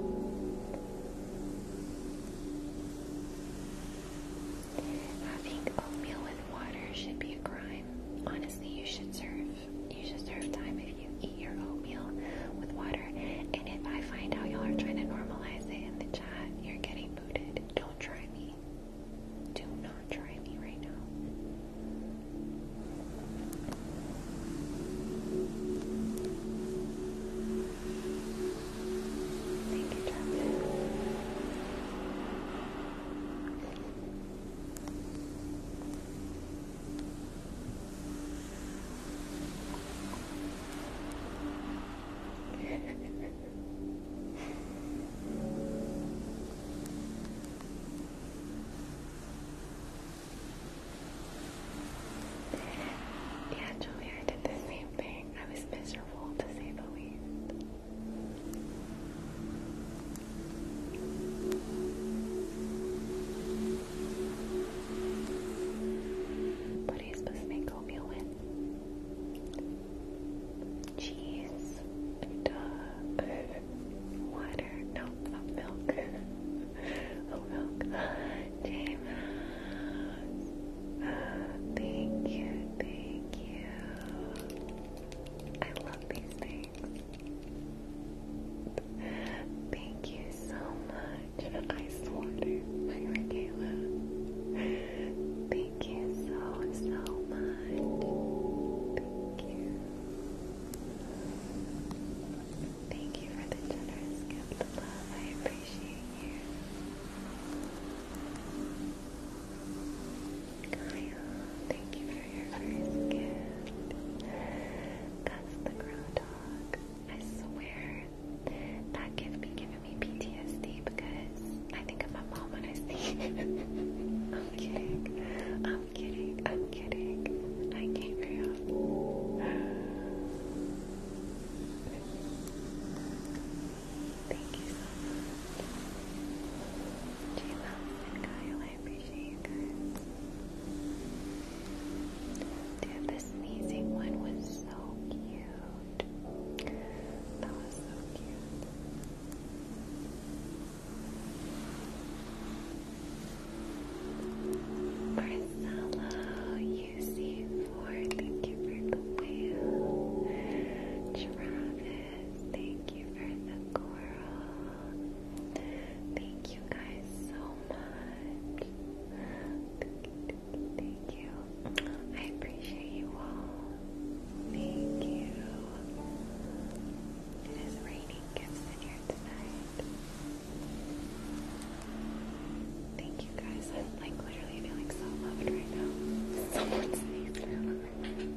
having oatmeal with water should be a crime honestly you should serve you should serve time if you eat your oatmeal with water. And if I find out y'all are trying to normalize it in the chat, you're getting booted. Don't try me. Do not try me right now. Thank you, Travis yeah, Julia, I did the same thing. I was miserable to say the least. What supposed to make oatmeal with? Cheese. Duh. Water. No, oat milk. oat milk. James. thank you, thank you. I love these things. Thank you so much much for Thank you so, so much. Thank you. Thank you for the generous gift of love. I appreciate you. Kyle, thank you for your first gift. That's the grow dog. I swear that gift be giving me PTSD because I think of my mom when I see it. I'm kidding. I'm kidding. I'm kidding. I can't real. Thank you so much. j and Kyle, I appreciate you guys. Dude, the sneezing one was so cute. That was so cute. Marcelo, UC4, thank you for the whale. Travis, thank you for the coral. Thank you guys so much. Thank you, Thank you. I appreciate you all. Thank you. It is raining gifts in here tonight. Thank you guys. I'm like literally feeling so loved right now. Someone sneezed now. Thank you.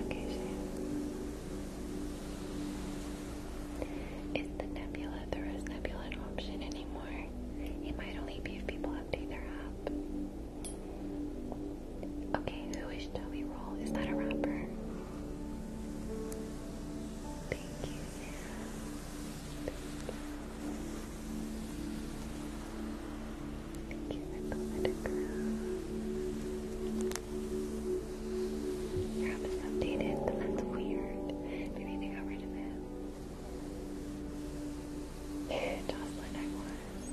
Okay, Sam. Is the Nebula, the Rose option anymore? It might only be if people update their app. Okay, who is Joey Roll? Is that a rapper? Thank you, Sam. Thank you for the letterground. Your app is updated, but that's weird. Maybe they got rid of it. Jocelyn, I was.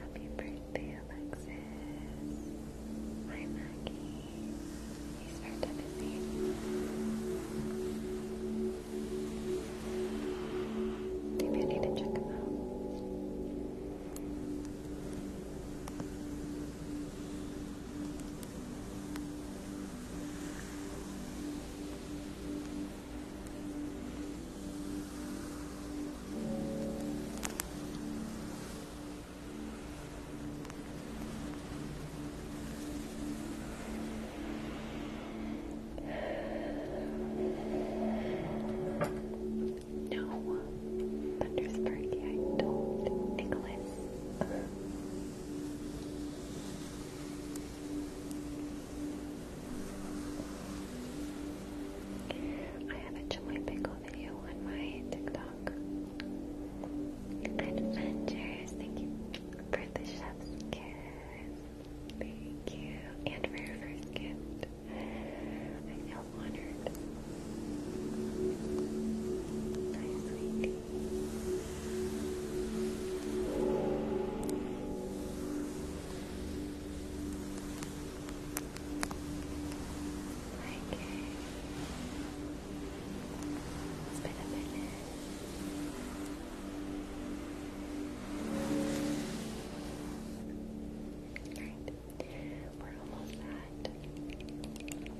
Happy birthday, Alexis. Hi, Maggie. He's very busy. Maybe I need to check him out. No, Thundersperky, I don't, Nicholas. I have a chili pickle video on my TikTok. Adventures, thank you for the Thank you. And for your first gift. I feel honored. Hi, sweetie. Okay. It's been a minute. Alright, we're almost at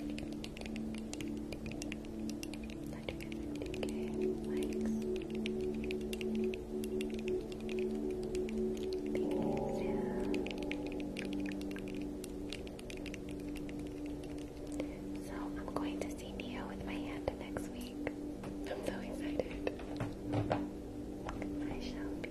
150k likes. So I'm going to see Neo with my hand next week. I'm so excited. I shall be.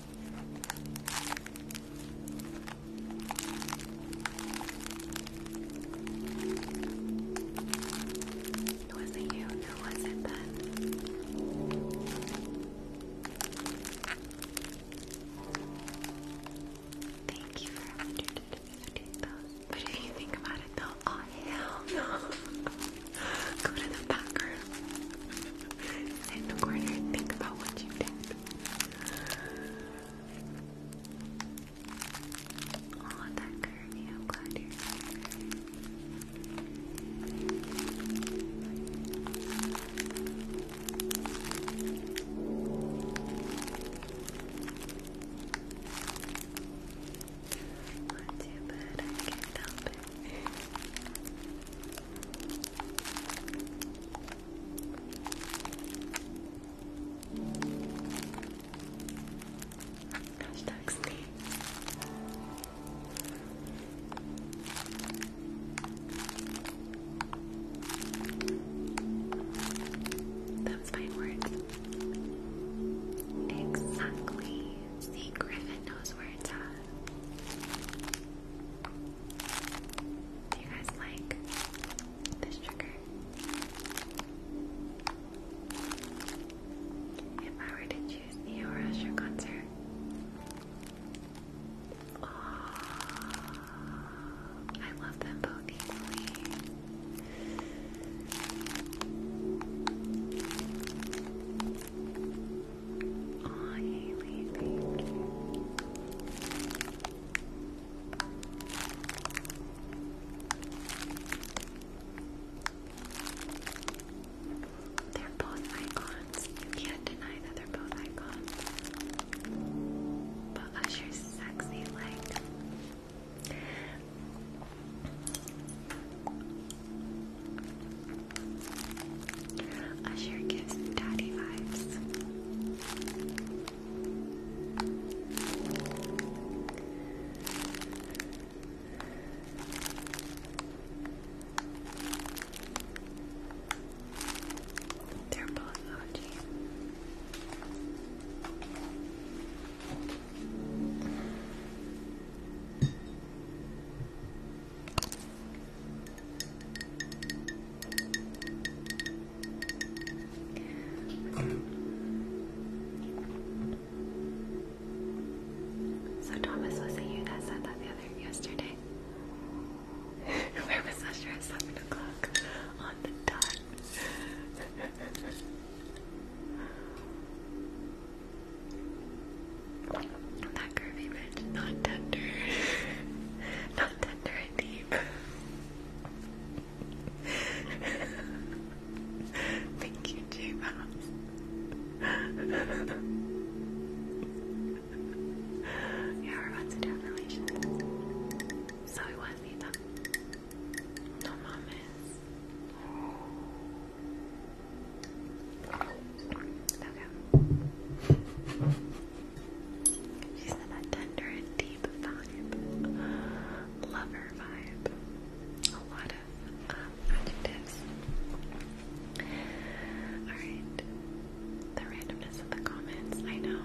It wasn't you, no, was it then? Thank you for having to do But if you think about it though, oh hell Go to the back room. Sit in the corner think about what you did. All oh, of that curvy, I'm glad you're here. Not too bad, I can't help it. Hashtag sleep. That my word. Exactly. See, Griffin knows where it's at. Do you guys like this trigger? If I were to choose Eeyore as your concert, oh, I love them both equally. Oh, Haley, thank you. They're both icons. You can't deny that they're both icons. But Usher's sexy like. I Usher gives daddy vibes. They're so Thomas, was it you that said that the other yesterday? Where was Usher at seven o'clock on the dot? that curvy bitch, not tender, not tender indeed. Thank you, J Yeah, we're about to do a relation. So we want Nita. No mames. Okay. She's in that tender and deep vibe, lover vibe. A lot of um, adjectives. Alright, the randomness of the comments, I know.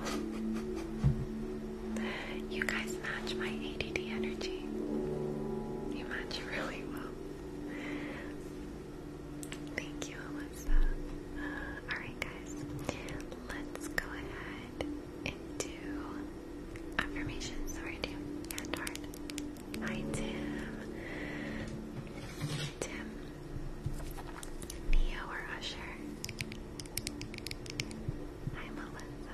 You guys match my ADD energy. You match really well. Thank you, Alyssa. Uh, Alright, guys, let's go ahead and do affirmations. So we Hi, Tim. Tim. Neo or Usher. Hi, Melissa.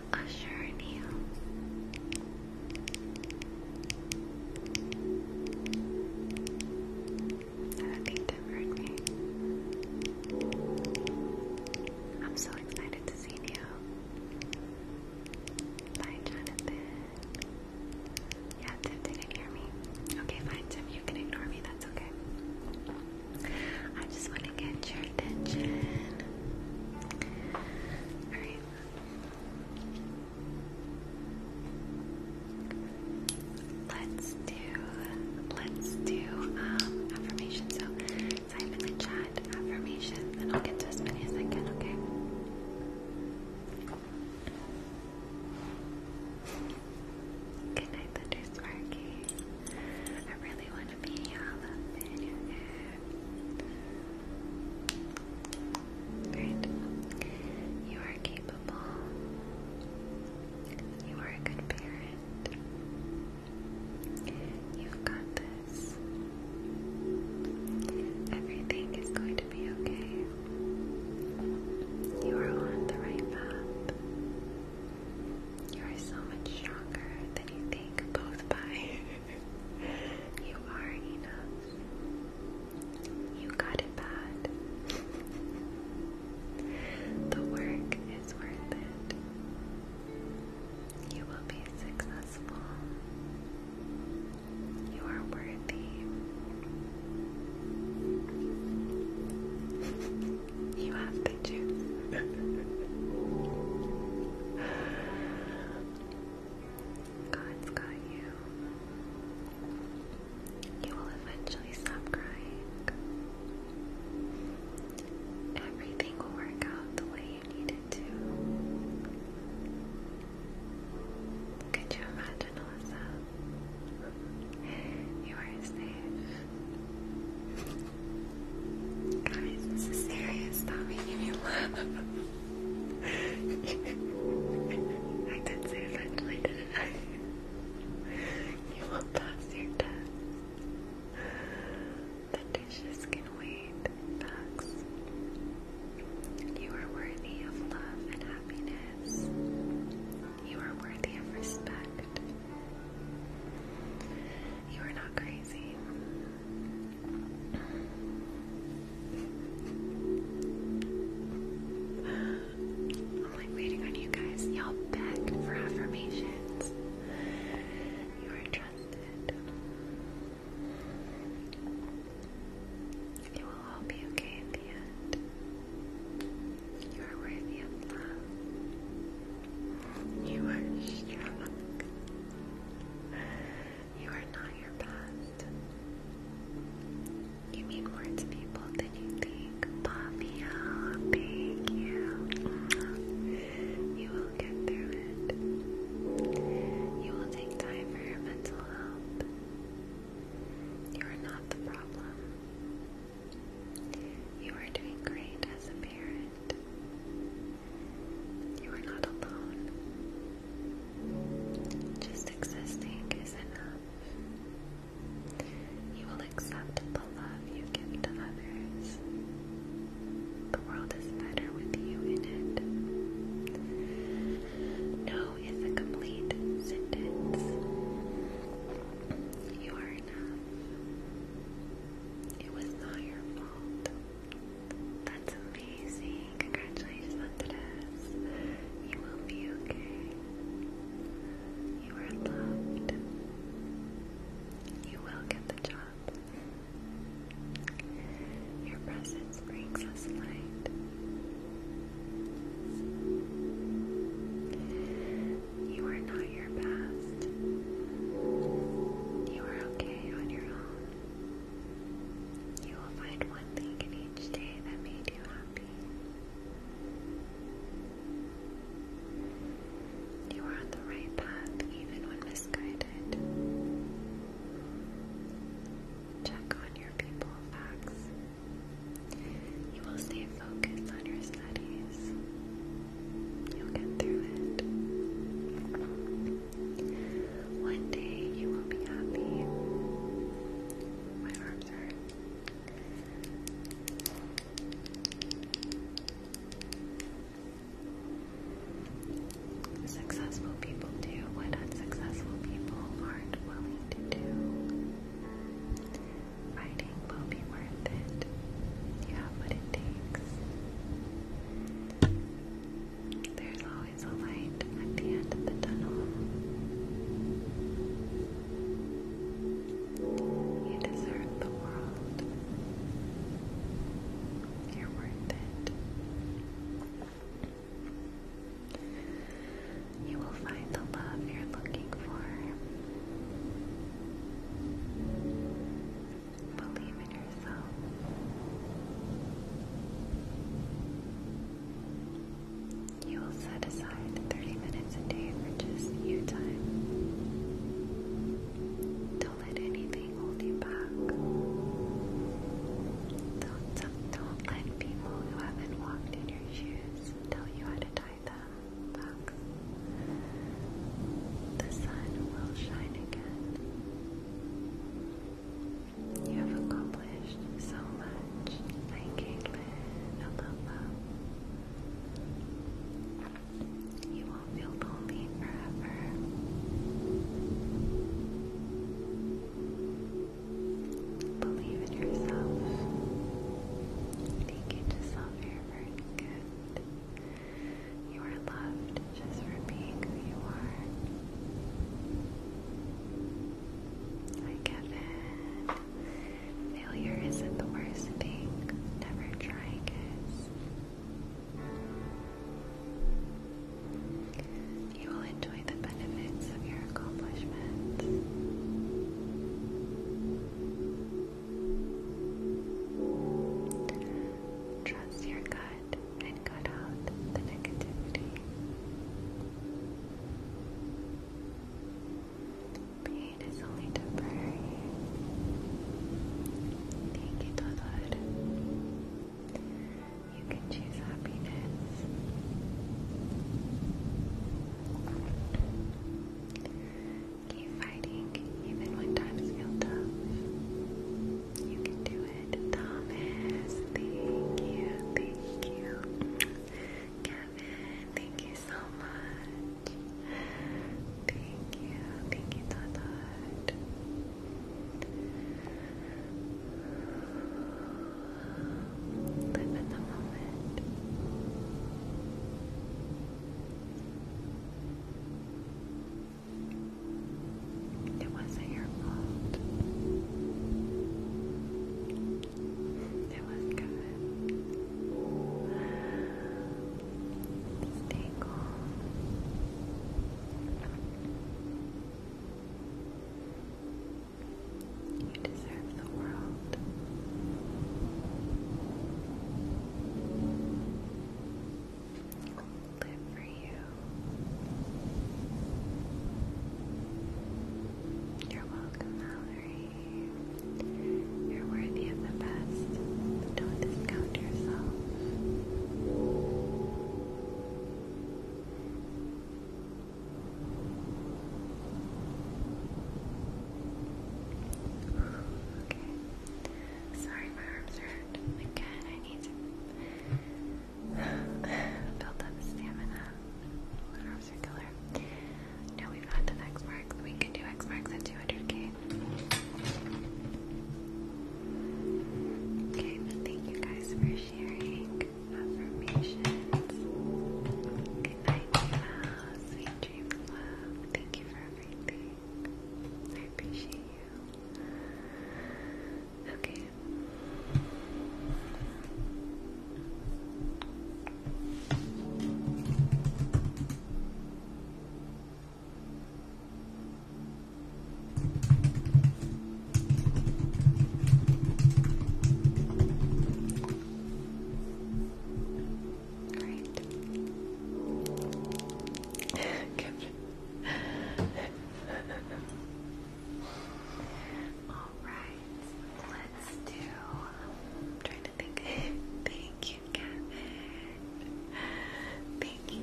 I don't think they've heard me. I'm so excited to see you. Bye, Jonathan. Yeah, Tim didn't hear me. Okay, fine, Tim, you can ignore me, that's okay. I just want to get your attention. Alright, Let's do, let's do um, affirmations. So type in the affirmations, and I'll get to as many as I can. Okay. Good night, Thunder Sparky. I really want to be all up in your hair. You are capable. You are a good parent. You've got this. Everything is going to be okay. You are on the right path. You are so much stronger than you think, both by You are enough. You got it bad. the work is worth it. You will be successful. You are worthy. you have pictures. God's got you. You will eventually stop crying. Everything will work out the way you need to. Could you imagine, Alyssa? You are safe. Guys, this is serious. Stop making me laugh. I did say eventually, didn't I? You will pass your test. The dishes can wait. Facts. You are worthy of love and happiness. You are worthy of respect. You are not crazy. I'm like waiting on you guys. Y'all begged for affirmations. You are trusted. It will all be okay at the end. You are worthy of love. You are strong. You are not your past. You mean more to people than you think. Fabio, thank you. You will get through it. You will take time for your mental health. You are not the problem. You are doing great as a parent. You are not alone. Just existing is enough. You will accept the love you give to others. The world is better with you in it. No is a complete sentence. You are enough. It was not your fault. That's amazing. Congratulations on this. You will be okay. You are loved. You will get the job. Your presence brings us light. You are not your past. You are okay on your own. You will find one thing in each day that made you happy. You are on the right path even when misguided. Check on your people facts. You will stay focused on your studies. You'll get through it. One day you will be happy. My arms hurt. Successful people do what unsuccessful people aren't willing to do. Fighting will be worth it. You have what it takes. There's always a light at the end of the tunnel. You deserve the world. You're worth it. You will find the love you're looking for. Believe in you will set aside 30 minutes a day for just you time. Don't let anything hold you back. Don't, don't, let people who haven't walked in your shoes tell you how to tie them back. The sun will shine again. You have accomplished so much. Hi, Caitlin. I love You won't feel lonely forever. Believe in yourself. Thank you to self-care for good. You are loved just for being who you are. I get it. Failure isn't the worst thing. Never trying is. You will enjoy the benefits of your accomplishments. Trust your gut and cut out the negativity. Pain is only temporary. Thank you, Lord. You can choose happiness. Keep fighting even when times feel tough. You can do it, Thomas. Thank you, thank you. Kevin, thank you so much. Thank you, thank you, Todd. Live in the moment. It wasn't your fault. It was good. Stay calm. You deserve the world live for you. You're welcome, Mallory. You're worthy of the best. Don't discount yourself. Okay. Sorry, my arms hurt. Again, I need to Build up stamina. Little circular. Now we've got the X marks. We can do X marks at 200k. Okay, thank you guys for sharing affirmations. Good night, Gina. Sweet dreams, love. Thank you for everything. I appreciate you. Okay. All right. Good. Alright, let's do. I'm trying to think. Thank you, Kevin. Thank you.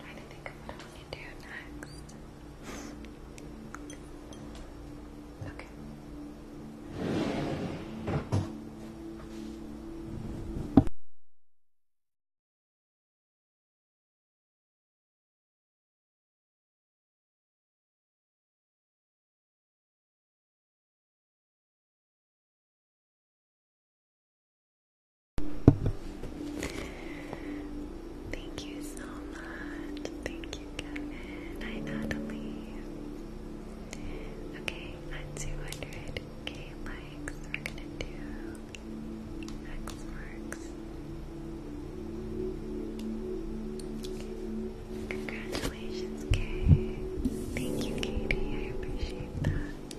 trying to think of what I want to do next. Okay. Thank you so much. Thank you, Kevin. I Natalie. Okay, at 200 8k We're gonna do X marks. Congratulations, Kay. Thank you, Katie. I appreciate that.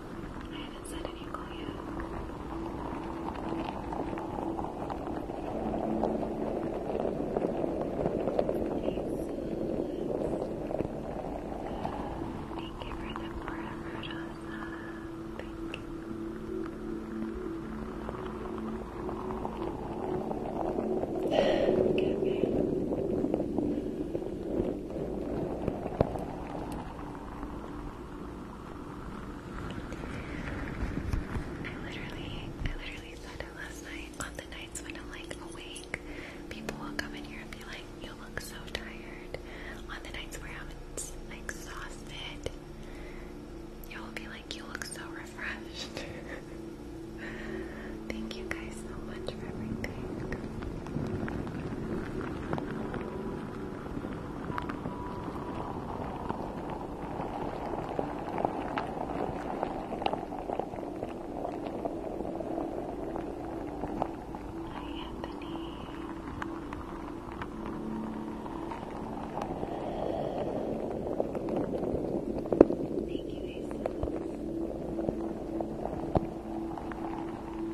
I haven't said an ankle yet. Thank you for the forever, Johnson. Thank you. okay, okay. I literally, I literally said it last night. On the nights when I'm like awake, people will come in here and be like, "You look so tired." On the nights where I'm exhausted, you'll be like, "You look so refreshed." Thank you guys so much for everything. Hi, Anthony. Thank you, Aces.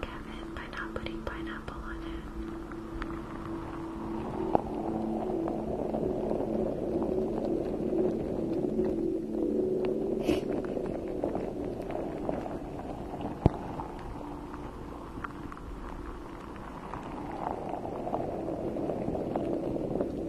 Kevin, by not putting pineapple on it.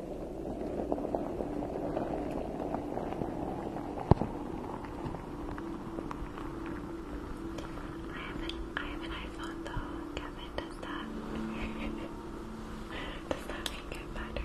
I have an I have an iPhone though, Kevin. Does that does that make it better?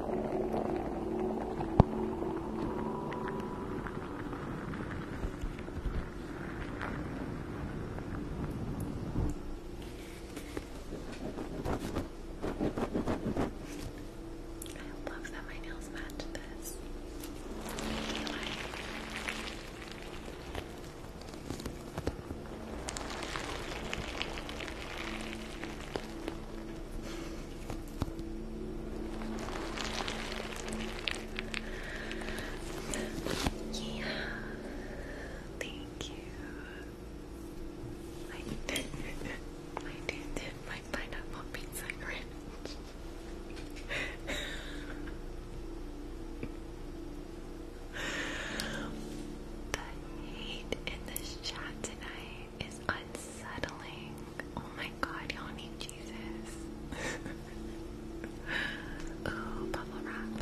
I love that my nails match this. I yeah. Thank you. I did I did my pineapple pizza ranch. the hate in this chat tonight is unsettling. Oh my god, y'all need Jesus. Ooh, bubble wrap.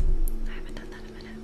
I haven't done that in a minute.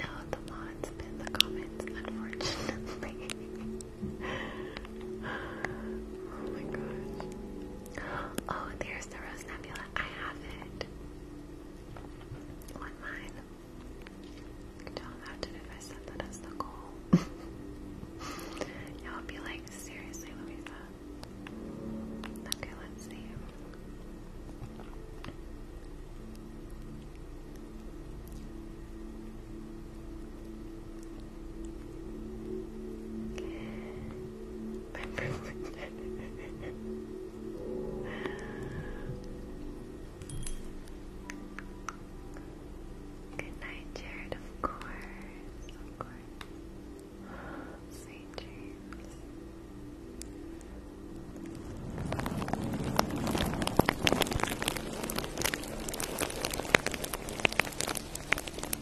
No, the mod's the comments, unfortunately. oh my gosh. Oh, there's the Rose Nebula. I have it. On mine. Don't imagine if I said that the goal. Y'all be like, seriously, Louisa. Okay, let's see. Good night, Jared. Of course, of course. Sweet dreams.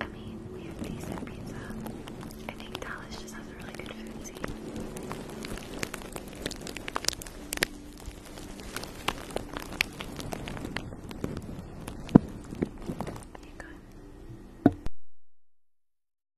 I mean, we have decent pizza. I think Dallas just has a really good food scene. Hang on.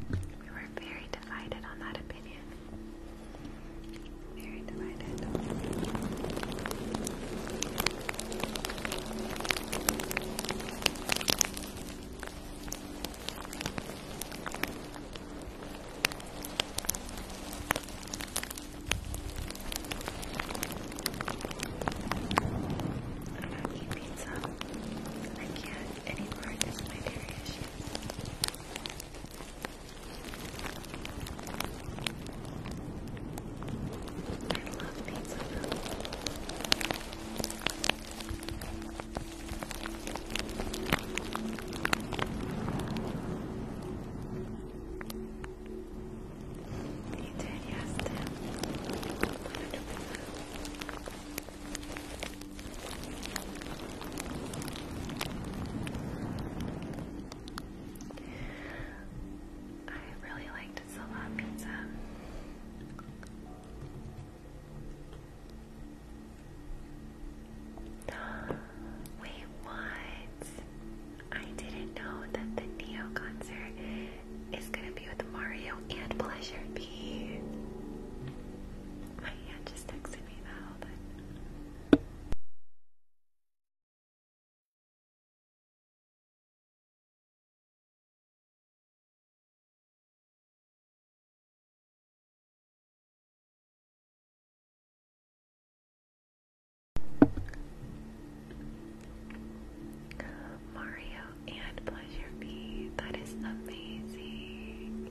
We were very divided on that opinion. Very divided eat pizza. I can't anymore because of my dairy issues. I love pizza you I really liked Silva Pizza. Wait, what? I didn't know that the Neo concert is gonna be with Mario and Pleasure B. My aunt just texted me that, but. Mario and Pleasure Bee, that is amazing.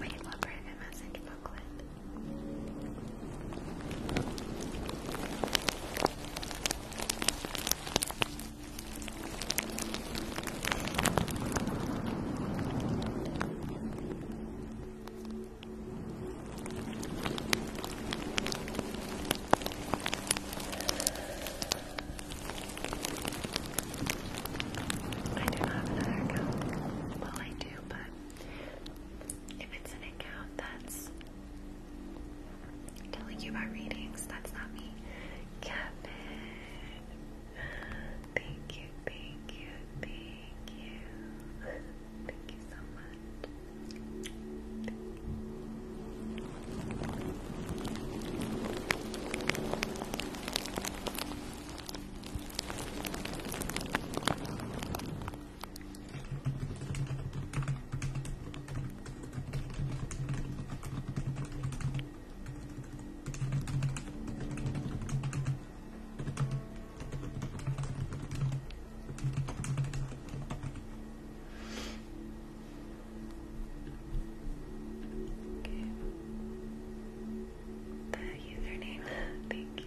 Wait, look, private message booklet. I do not have another account. Well, I do, but if it's an account that's telling you about readings, that's not me. Kevin, thank you, thank you, thank Thank you. Thank you so much. The username, thank you.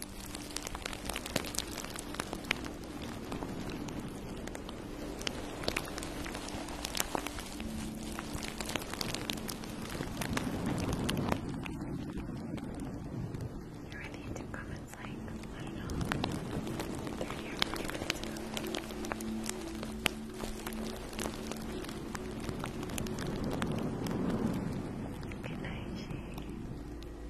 You're in the YouTube comments like, I know, 30 or 40 Good night, Shay.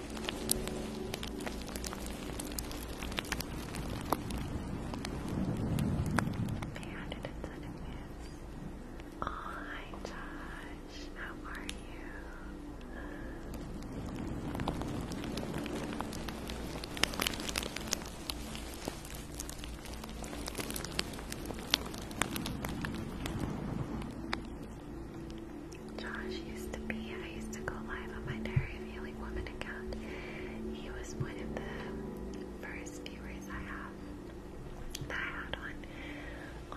They added incentives. Oh, hi Josh. How are you? Josh used to be, I used to go live on my Diary of Healing Woman account. He was one of the first viewers I have that I had on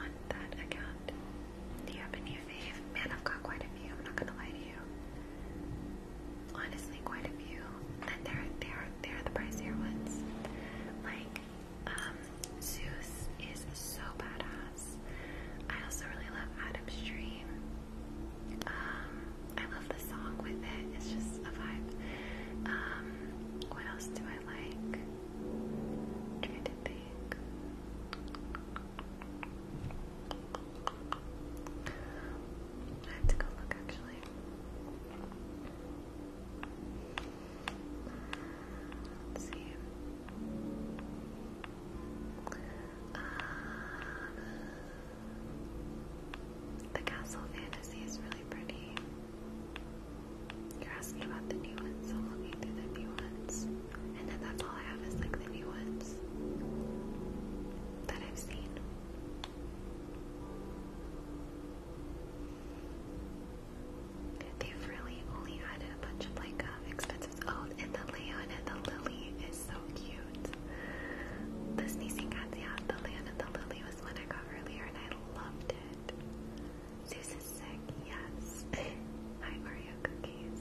on that account. Do you have any fave? Man, I've got quite a few, I'm not gonna lie to you. Honestly, quite a few. And they're they're they're the pricier ones. Like um, Zeus is so badass. I also really love Adam's Dream. Um, I love the song with it. It's just a vibe. Um, what else do I like? trying to think. I have to go look actually. see. Um, the Castle Fantasy is really pretty. You're asking about the new ones, so I'm looking through the new ones. And then that's all I have is like the new ones that I've seen they really only added a bunch of like um, expensive. Oh, and the Leon and the Lily is so cute. The sneezing cats, yeah. The Leon and the Lily was one I got earlier, and I loved it. Zeus is sick, yes. Hi, cookies.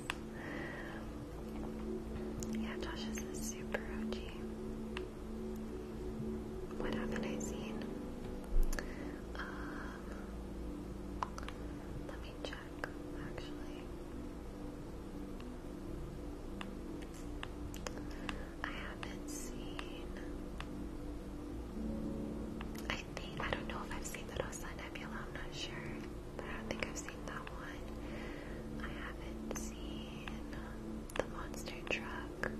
Yeah, Josh is super OG. What have I seen? Um, let me check actually. I haven't seen. I think I don't know if I've seen the Rosa Nebula. I'm not sure, I don't think I've seen that one. I haven't seen the Monster Truck.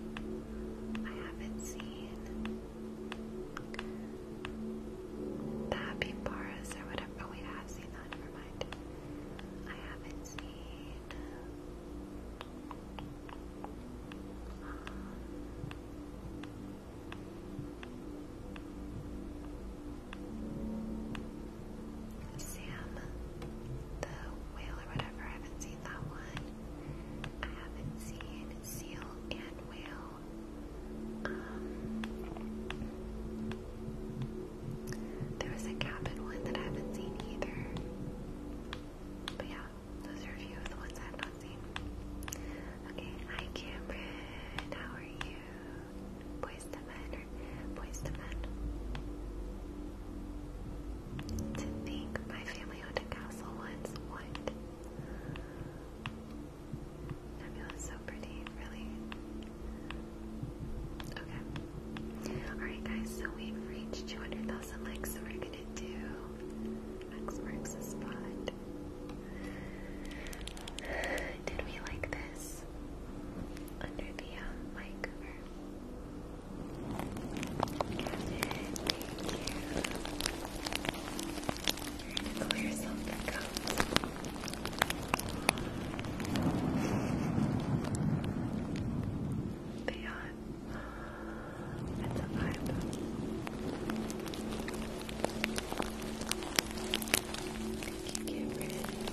I haven't seen the Happy Bars or whatever. Oh, wait, I have seen that. Never mind. I haven't seen. Sam, the whale or whatever. I haven't seen that one. I haven't seen seal and whale. There was a cabin one that I haven't seen either. But yeah, those are a few of the ones I've not seen. Okay, hi Cameron, how are you? Boys to men or boys to men? To think my family owned a castle once. What? Nebula's so pretty, really. Okay. Alright, guys, so we've reached 200,000 likes, so we're gonna do X marks the spot. Did we like this? Under the um, mic cover. Thank you trying to clear something up. Beyond. It's a vibe. You get rid of it.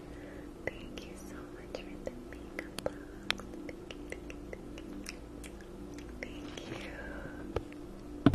Thank you so much for the makeup box. Thank you,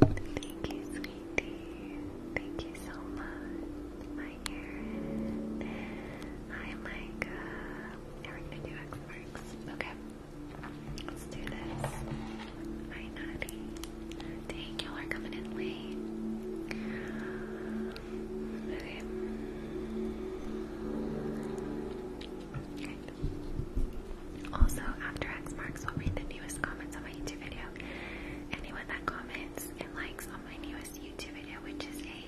Thank you, sweetie. Thank you so much. I my ear. Hi, Now we're gonna do X marks. Okay. Let's do this. Hi, Natty. Dang, y'all are coming in late. Okay. Good. Also, after X marks, we'll read the newest comments on my YouTube video. Anyone that comments and likes on my newest YouTube video, which is a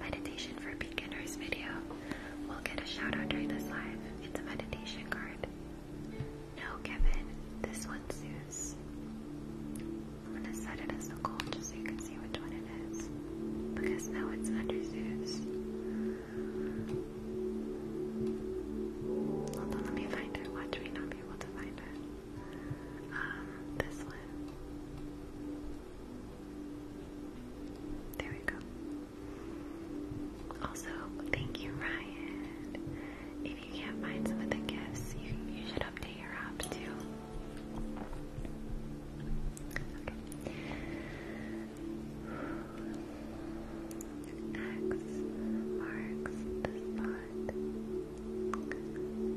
meditation for beginners video we will get a shout out during this live. It's a meditation card. No, Kevin, this one's Zeus. I'm gonna set it as a goal just so you can see which one it is. Because now it's under Zeus. Although let me find it. Watch me not be able to find it. Um, this one. There we go. Also, thank you, Ryan. If you can't find some of the gifts, you, you should update your app too. Okay. X marks the spot.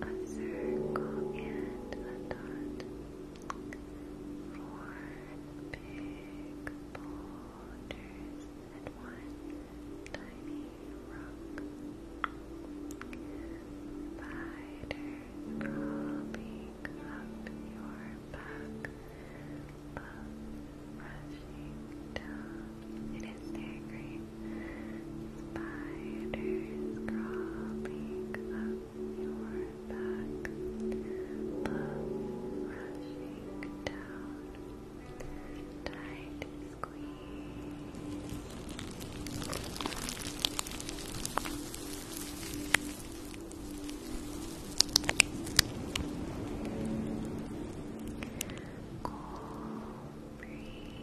A circle and a dot four big boulders and one tiny rock. Spiders crawling up your back, bugs rushing down. It is staggering spiders crawling up your back, love down, tight squeeze, cool breeze.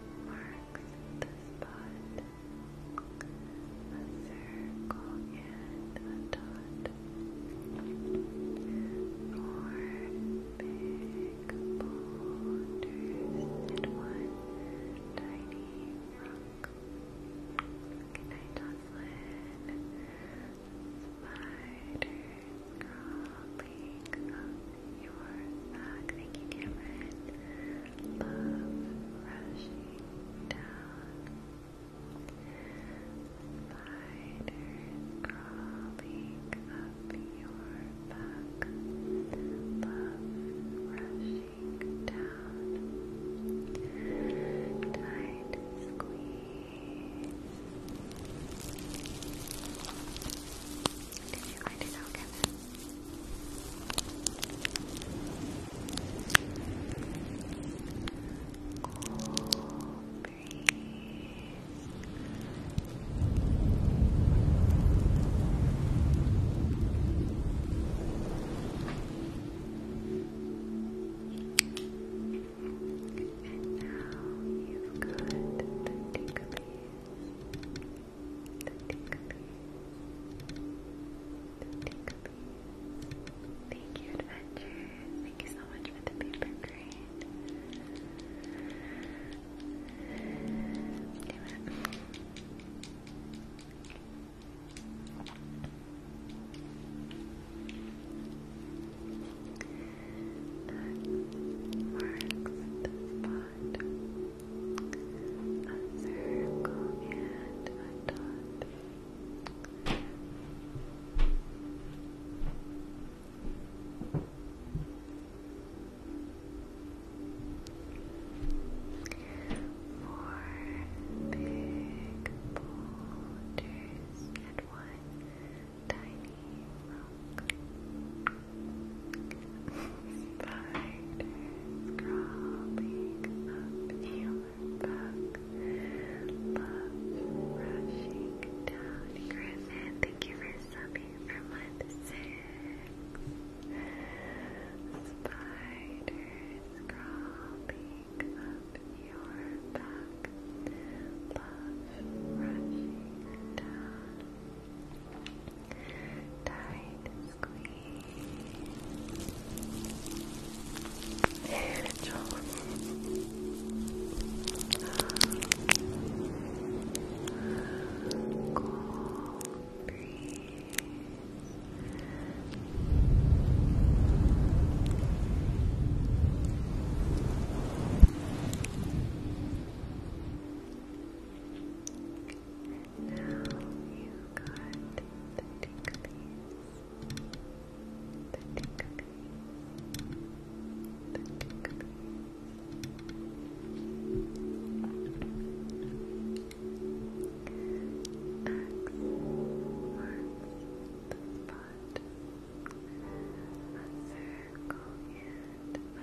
marks at the spot. A circle and a dot. Four big boulders and one tiny rock. Good night, Spider crawling up your back. Thank you, Cameron. Love rushing down. Spiders crawling up your back. Love rushing down. Tight squeeze. Did you Cool breeze. And now you've got the Thank you, Adventure. Thank you so much for the paper crane. Damn it. marks the spot dot, a circle and a dot. Four big boulders and one tiny Spiders crawling up your back. Love rushing down. Griffin, thank you for subbing for month six. Spiders crawling up your back. Love rushing down. Tight squeeze. Joel. Cool breeze. Now you got the ticklies. The ticklies. The ticklies. X marks the spot. A circle and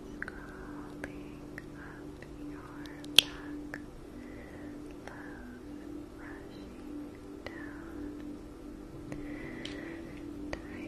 is crawling up your back, love rushing down, try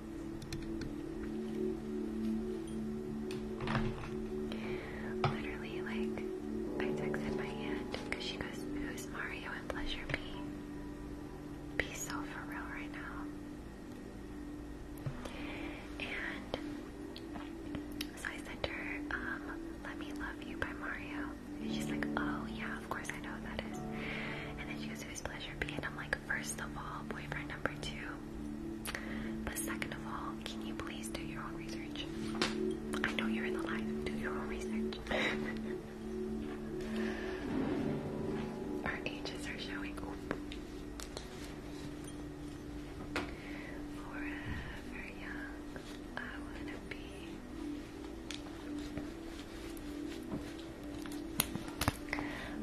Literally, like, I texted my aunt because she goes, Who's Mario and Pleasure B? Be so for real right now. And so I sent her, um, Let Me Love You by Mario. And she's like, Oh, yeah, of course I know that is. And then she goes, pleasure be it. I'm like, first of all, boyfriend number two. But second of all, can you please do your own research? I know you're in the live. Do your own research. Our ages are showing. Forever young, I wanna be.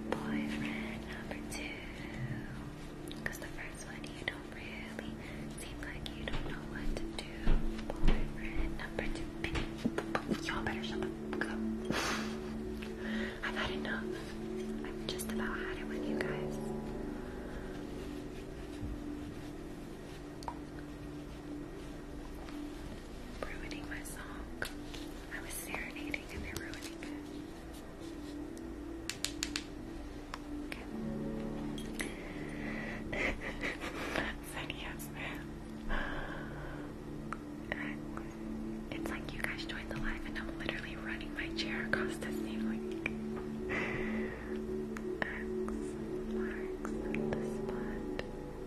Boyfriend number two. the first one, you don't really seem like you don't know what to do. Boyfriend number two. y'all better shut the I've had enough. I've just about had it with you guys ruining my song. I was serenading and they're ruining it. Okay. It's like you guys joined the live and I'm literally running my chair across the ceiling. the spot.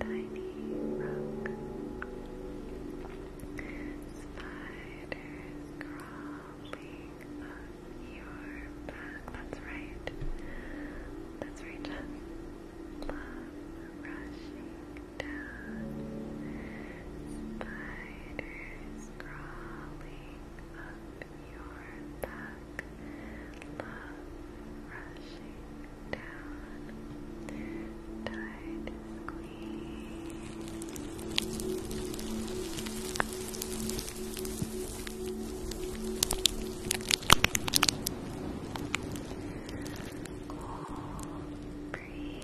tiny rock. Spiders crawling up your back. That's right. That's right, John. Love rushing down. Spiders crawling up your back black love rushing down, tide squeeze. Cool breeze.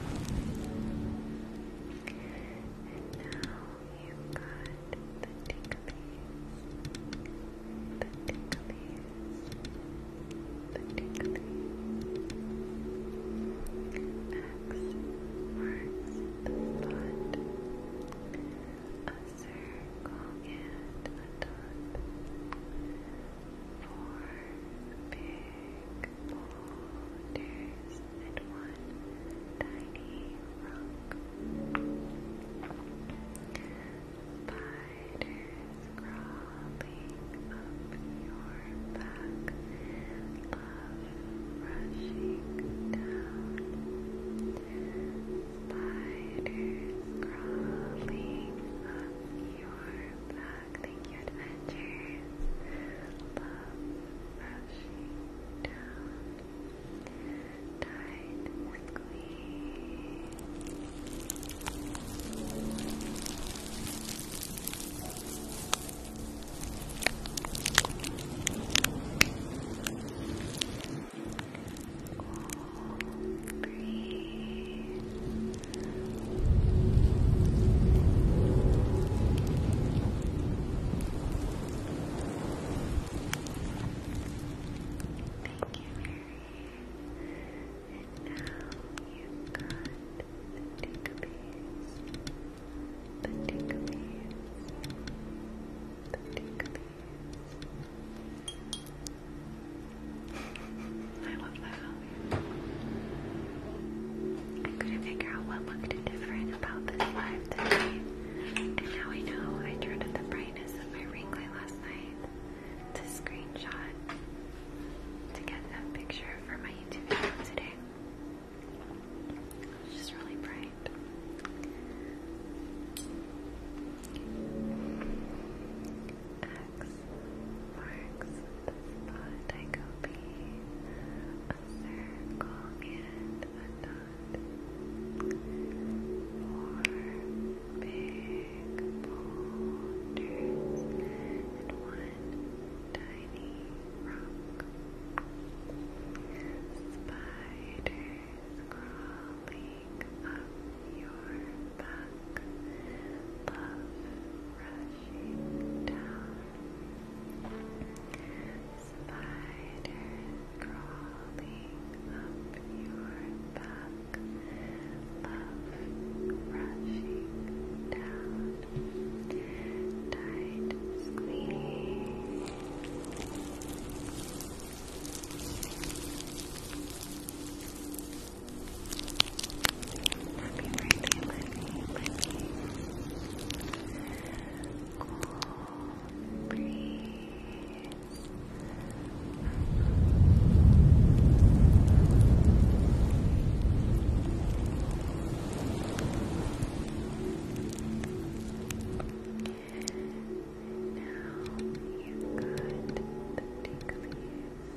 And now you've got the ticklies, the ticklies, the ticklies. X marks the spot, a circle and a dot four big boulders and one tiny rock. Spiders crawling up your back, love rushing down. Spiders crawling up your back. Dog. Thank you, Love rushing down. Tide squeeze. Cool Thank you've got the Tinkerbees, the Tinkerbees, the Tinkerbees. I love that. I couldn't figure out what looked different about this life today. And now I know I turned up the brightness of my ring light last night to screenshot to get that picture for my YouTube video today. It's just really bright. X marks the spot I go be a circle and a dot. Four big boulders and one tiny rock. Spiders crawling up your back dark love rushing down. Spiders crawling up your back, love rushing down. Tight squeeze. Happy birthday, Lenny, Lenny. Cool breeze. Now you've got the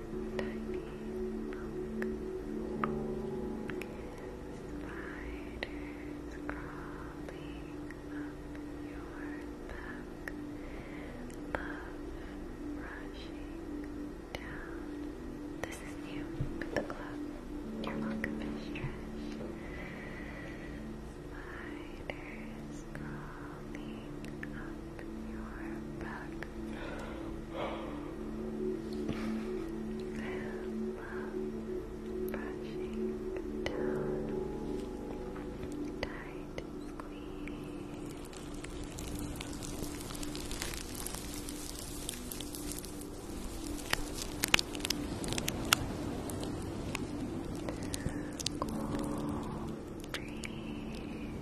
Spiders crawling up your back. Love rushing down. This is you with the glove. Your welcome is stretched. Spiders crawling up your back love brushing down, tight squeeze, cool breeze.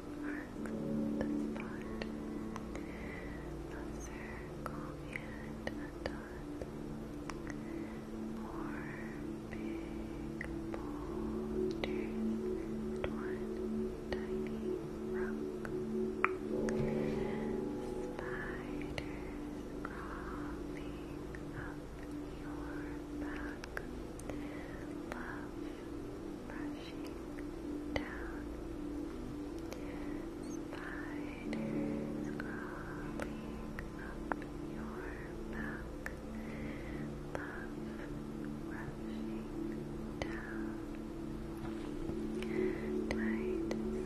on the spot. A circle and dot. Four big boulders and one tiny rock. Spiders crawling up your back. Love rushing down. Spiders crawling up your back. Love rushing down. Tight squeeze.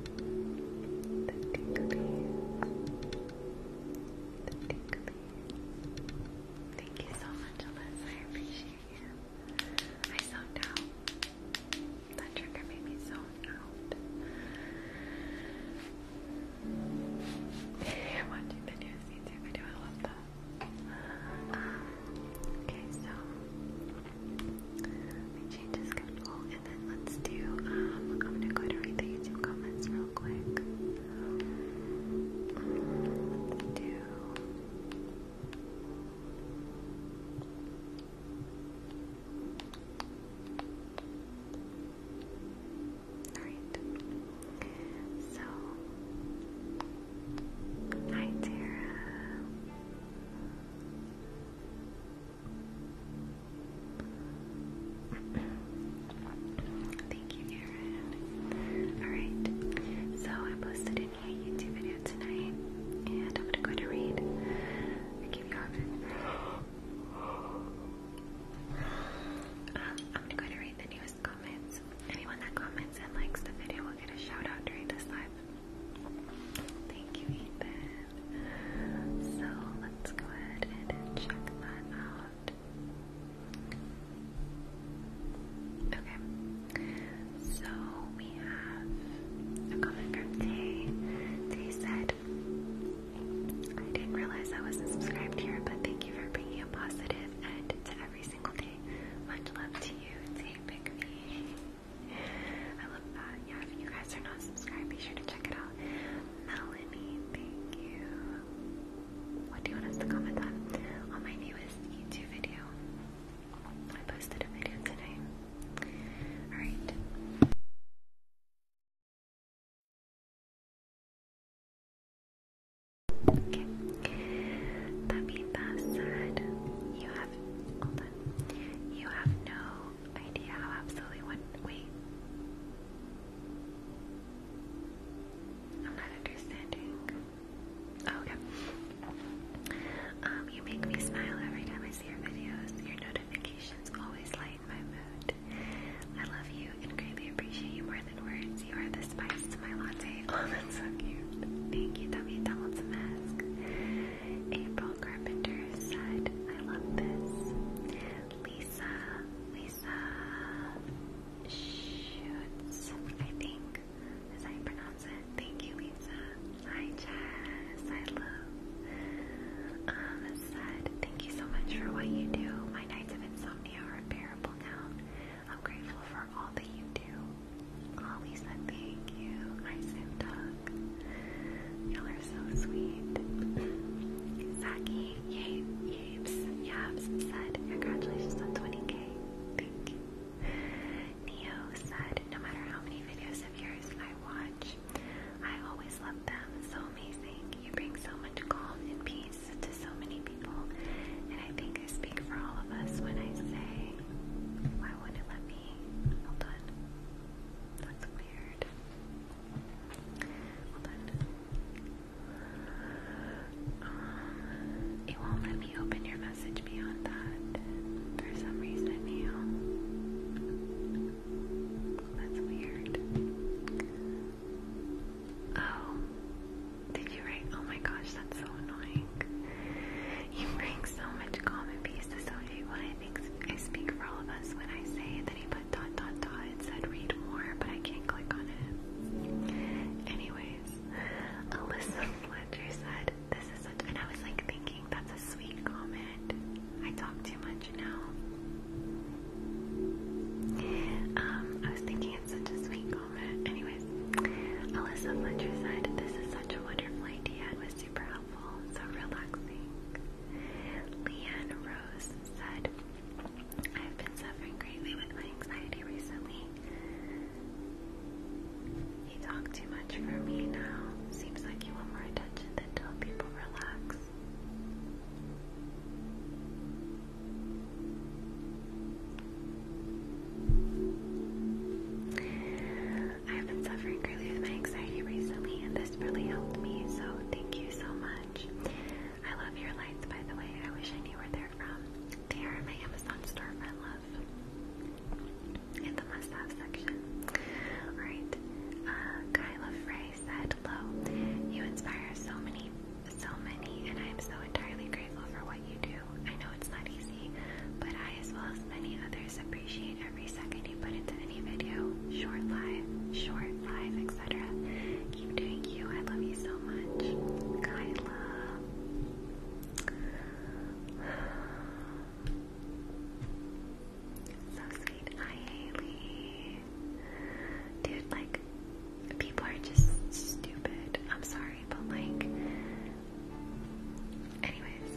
the ticklies, the ticklies. Thank you so much, Alyssa. I appreciate you. I zoned out. That trigger made me zone out. You're watching the news YouTube I love that. Um, okay, so my changes kept all and then let's do, um, I'm gonna go to read the YouTube comments real quick. let's do. Alright. So, hi Tara. Thank you, Aaron. Alright, so I posted a new YouTube video tonight, and I'm gonna read. I keep yawning. Um, I'm going to read the newest comments. Anyone that comments and likes the video will get a shout out during this live. Thank you, Ethan. So let's go ahead and check that out. Okay, so we have a comment from Tay. Tay said, I didn't realize I wasn't subscribed here, but thank you for bringing a positive end to every single day. Much love to you, Tay Pick Me. I love that. Yeah, if you guys are not subscribed, be sure to check it out. Melanie, thank you. What do you want us to comment on? On my newest YouTube video. I posted a video today. Alright. Okay. That being said, you have You have no idea how absolutely one. Wait. I'm not understanding. Oh, okay. Um, you make me smile every time I see your videos. Your notifications always lighten my mood. I love you and greatly appreciate you more than words. You are the spice to my latte. Oh, that's so cute. Thank you, Tommy Donaldson Mask. April Carpenter said, I love this. Lee Lisa, Lisa Schutz, I think, as I pronounce it. Thank you, Lisa. Hi, Jess. I love. Um, said, thank you so much for what you do. My nights of insomnia are unbearable now. I'm grateful for all that you do. Oh, Lisa, thank you. Hi, Sim you are so sweet. Saki, yay, yapes, yaps said, congratulations on 20k. Thank you. Neo said, no matter how many videos of yours I watch, I always love them. So amazing. You bring so much calm and peace to so many people. And I think I speak for all of us when I say, why wouldn't let me? Hold on. That's weird. But, it won't let me open your message beyond that for some reason now. That's weird. Oh, did you write? Oh my gosh, that's so annoying. You bring so much calm and to Soji. I speak for all of us when I say that put dot dot dot. It said read more, but I can't click on it. Anyways, Alyssa Fletcher said, This is such and I was like thinking that's a sweet comment. I talk too much now. Um, I was thinking it's such a sweet comment. Anyways, Alyssa Fletcher said, This is such a wonderful idea. It was super helpful, so relaxing. Leanne Rose said, I've been suffering greatly with my anxiety recently. You talk too much for me now. Seems like you want more attention than tell people relax. I've been suffering greatly with my anxiety recently, and this really helped me, so thank you so much. I love your lights, by the way. I wish I knew where they're from. They are in my Amazon store for love. In the must-have section. Alright. Kyla uh, Frey said, Hello. You inspire so many, so many, and I am so entirely grateful for what you do. I know it's not easy, but I, as well as many others, appreciate every second and put into any video, short live, short live, etc. Keep doing you. I love you so much. Kyla. So sweet. Hi, Haley. Dude, like, people are just stupid. I'm sorry, but like, anyways,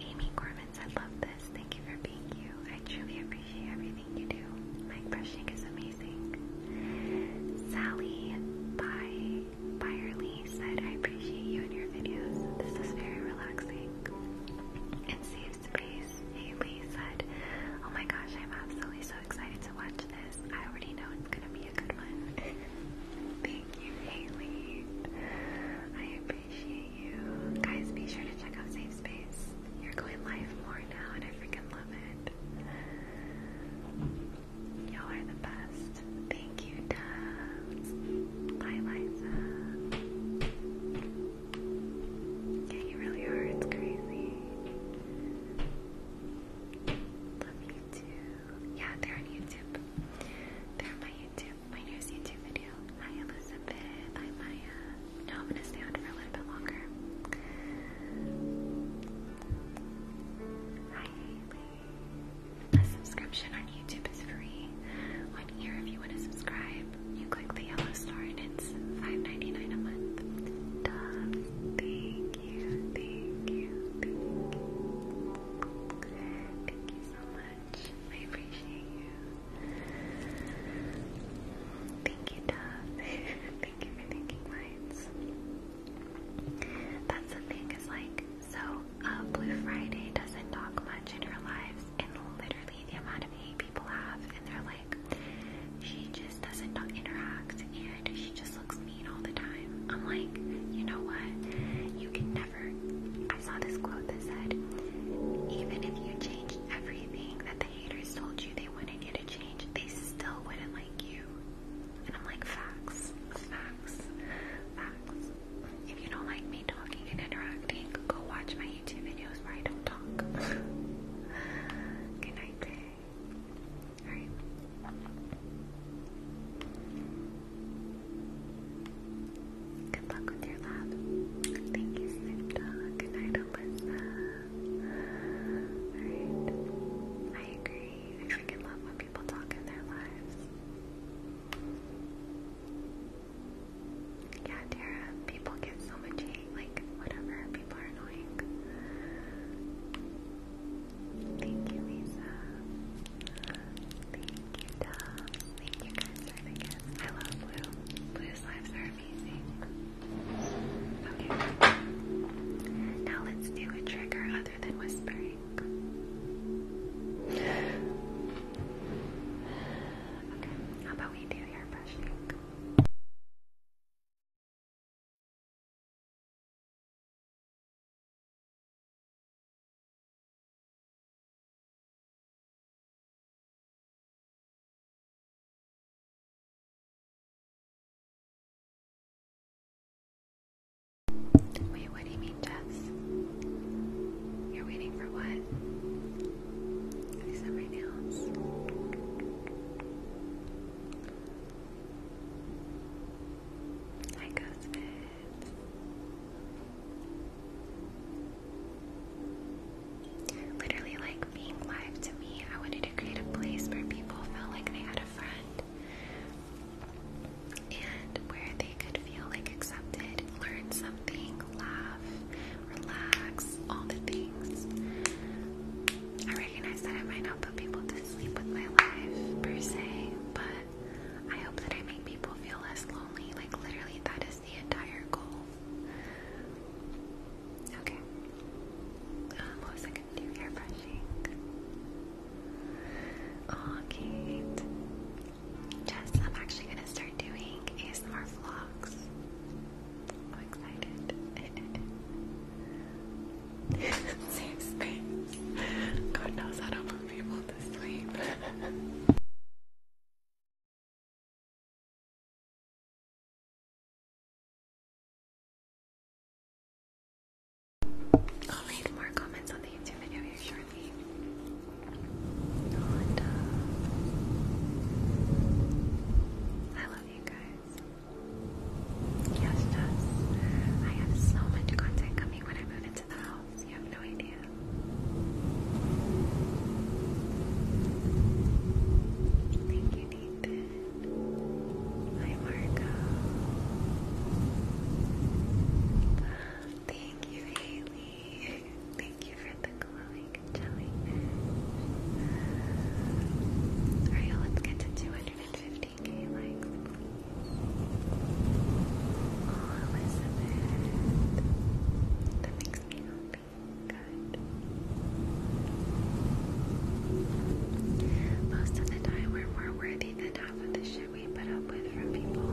Amy Gorman said, Love this. Thank you for being you. I truly appreciate everything you do. Mic brushing is amazing. Sally by Byerly said, I appreciate you and your videos. This is very relaxing and saves space. Haley said, Oh my gosh, I'm absolutely so excited to watch this. I already know it's gonna be a good one. Thank you, Haley. I appreciate guys be sure to check out Safe Space. You're going live more now, and I freaking love it. Y'all are the best. Thank you, Dubs. Bye, you really are. It's crazy. Love you too. Yeah, they're on YouTube. They're on my YouTube, my newest YouTube video a subscription on YouTube is free. One year if you want to subscribe, you click the yellow star and it's 5 a month. Dove, thank you, thank you, thank you. Thank you so much. I appreciate you. Thank you, Dove. Thank you for thinking minds. That's the thing, is like, so uh, Blue Friday doesn't talk much in her lives, and literally the amount of hate people have, and they're like, she just doesn't interact, and she just looks mean all the time. I'm like, you know what? You can never. I saw this quote that said, even if you change everything that haters told you they wanted you to change, they still wouldn't like you. And I'm like, facts, facts, facts. If you don't like me talking and interacting, go watch my YouTube videos where I don't talk. Good night, babe. Alright. Good luck with your lab. Thank you, Snoop Good night, Alyssa. I agree. I freaking love when people talk in their lives. Yeah, Tara, people get so much hate, like, whatever, people are annoying. Thank you, Lisa. Thank you, Dubs. Thank you guys I love blue. Blue's lives are amazing. Now let's do a trigger other than whispering. Okay. How about we do hair brushing? Wait, what do you mean, Jess? You're waiting for what? These are my nails. Literally, like being live to me, I wanted to create a place where people felt like they had a friend and where they could feel like accepted, learn something, laugh, relax, all the things. I recognize that I might not put people to sleep with my life per se, but I hope that I make people feel less lonely. Like, literally, that is the entire goal. Okay. what was I gonna do? Hair brushing. Oh, Jess, I'm actually gonna start doing ASMR vlogs. I'm excited. Safe space. God knows how to put people to sleep. I'll leave more comments on the YouTube video here shortly. Uh, I love you guys. Yes, Jess. I have so much content coming when I move into the house. You have no idea. Thank you. Hi, Marco. Thank you, Haley. Thank you for the glowing jellyfish. Alright, let's get to 250k likes, Oh, Elizabeth. That makes me happy. Good. Most of the time, we're more worthy than half of the shit we put up with from people.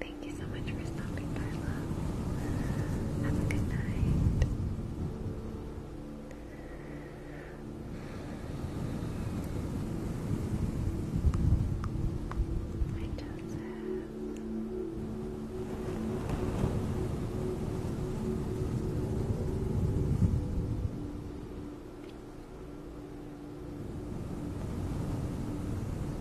thank you so much for stopping by, Have a good night. Hi, Joseph.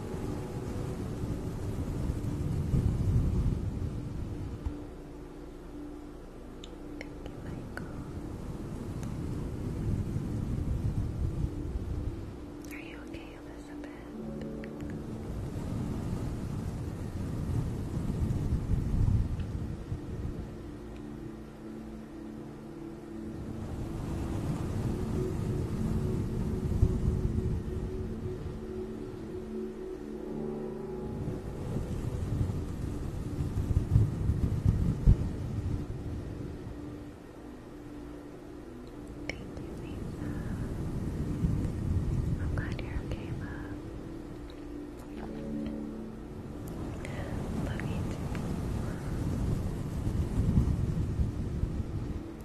Thank you, Are you okay, Elizabeth? Thank you, Lisa. I'm glad you're okay, love. Love you too.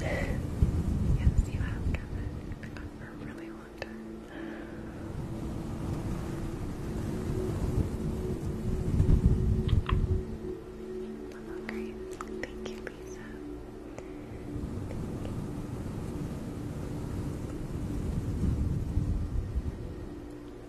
yes, you have, Kevin. for a really long time. Hello, Grace. Thank you, Lisa.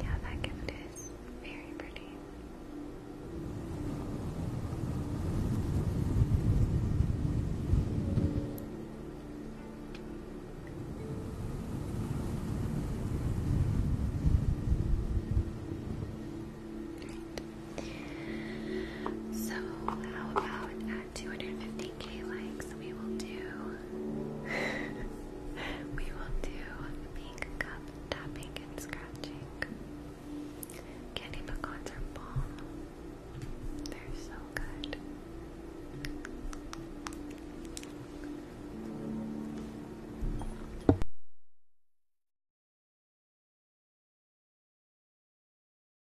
Yeah, that gift is very pretty. So, how about 250k likes, we will do we will do pink cup tapping and scratching. Candy pecans are bomb. They're so good.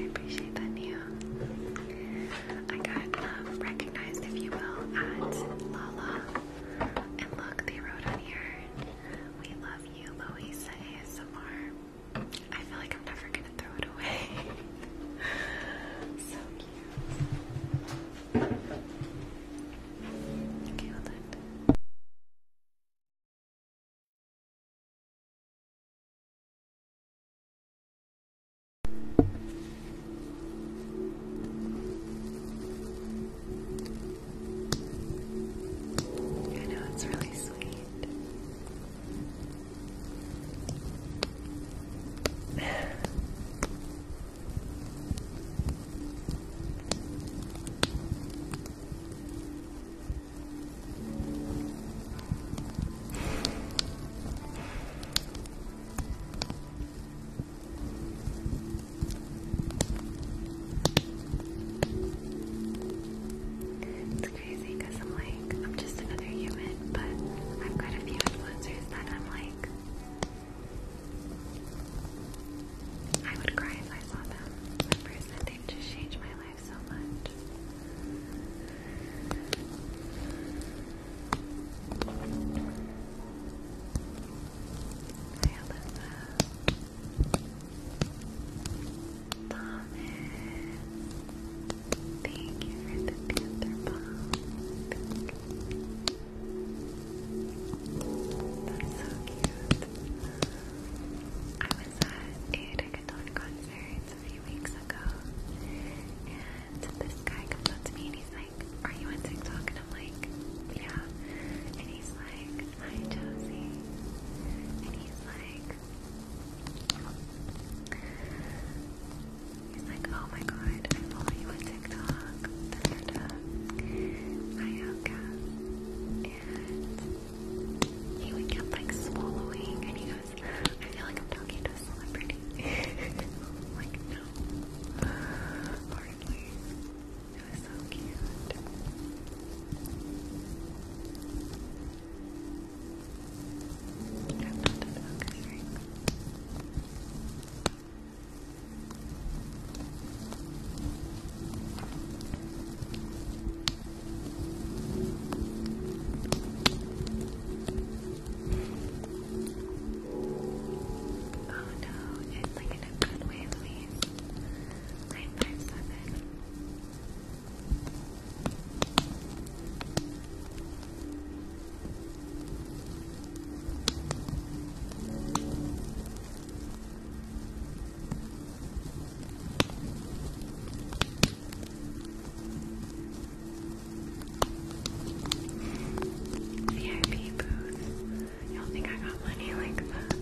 I appreciate that, Nia. I got um, recognized, if you will, at Lala. And look, they wrote on here, we love you, Louisa ASMR. I feel like I'm never gonna throw it away. so cute. Okay, hold on. I know it's really sweet. It's crazy because I'm like, I'm just another human, but I've got a few influencers that I'm like, I would cry if I saw them in person. They've just changed my life so much. Hi, Alyssa. Thomas. Thank you for the panther bomb. That's so cute. I was at a reggaeton concert a few weeks ago, and this guy comes up to me and he's like, Are you on TikTok? And I'm like, Yeah. And he's like, Hi, Josie. And he's like, He's like, oh my god, I follow you on TikTok, Twitter, my yoga, and he would get like swallowing, and he goes, I feel like I'm talking to a celebrity. like, no. Hardly. It was so cute. I love Oh no, it's like in a good way, Nine five seven. VIP booth. You do think I got money like that?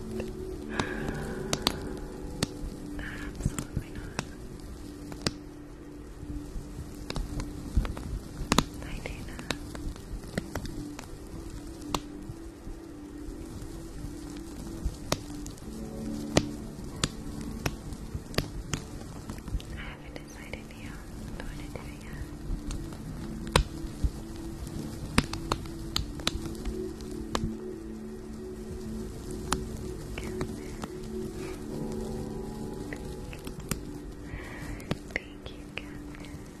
Absolutely not. Hi Dana. I haven't decided yet what I want to do yet. Thank you, Catherine. I you.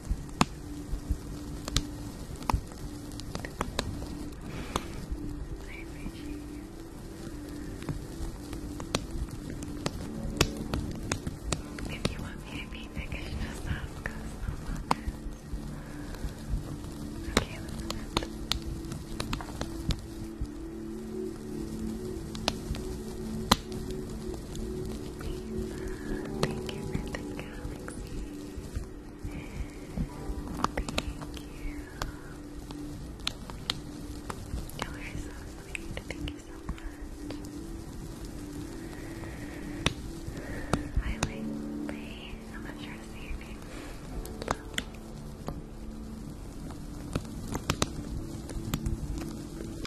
If you want VIP package, just ask Okay, Thank you for the galaxy. Thank you. You are so sweet. Thank you so much. Hi, Lily. I'm not sure to say your name.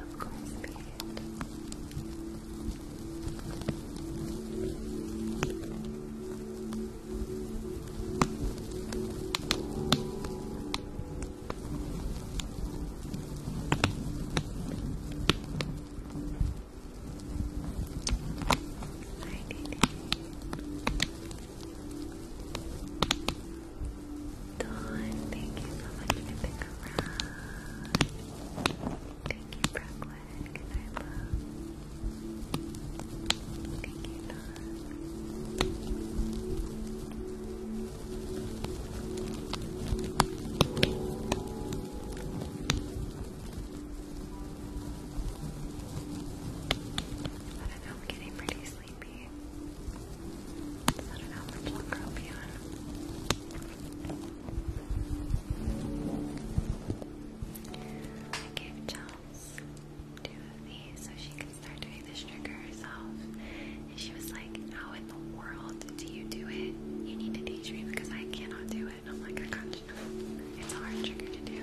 of course, Hi, Didi. Dawn, thank you so much for the garage. Thank you, Brooklyn. Good night, love. Thank you, Dawn. I don't know, I'm getting pretty sleepy. I don't know how much longer gave Chels two of these so she could start doing this trigger herself. And she was like, How in the world do you do it? You need to teach me because I cannot do it. And I'm like, I got you. It's a hard trigger to do.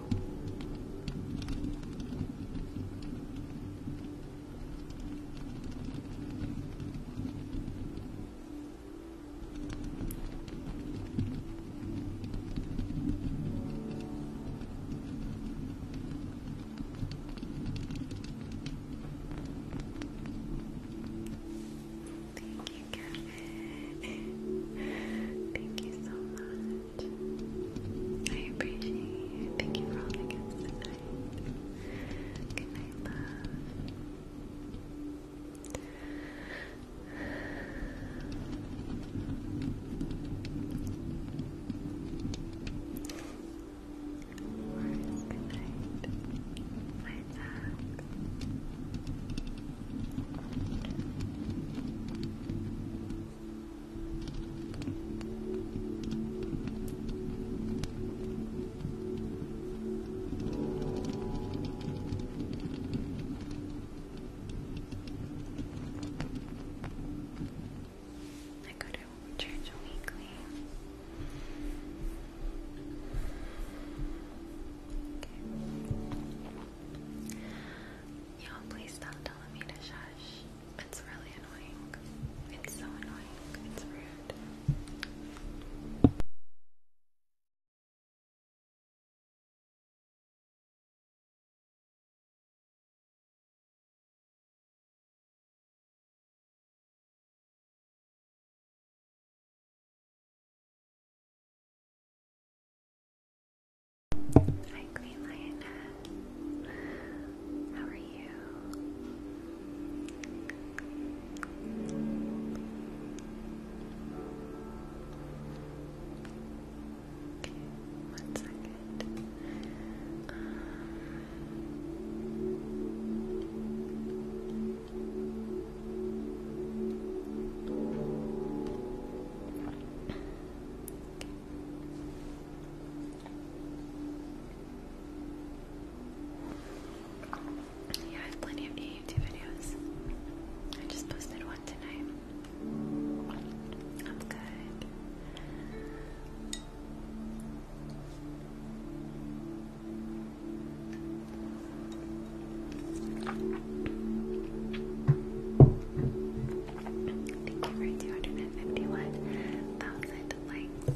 Thank you, Kevin. Thank you so much. I appreciate Thank you for holding us tonight. Good night, love. good night. Bye, Zach. I go to church weekly. Y'all, please stop telling me to shush. It's really annoying. It's so annoying. It's rude. Hi, Queen Lioness. How are you? Okay, one second. Um, yeah, I have plenty of new YouTube videos. I just posted one tonight. That's good. Thank you for 251,000 likes.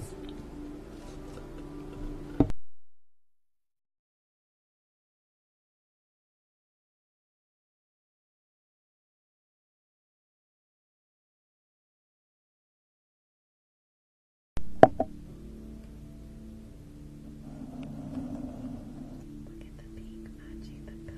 Look at the pink matching the cup.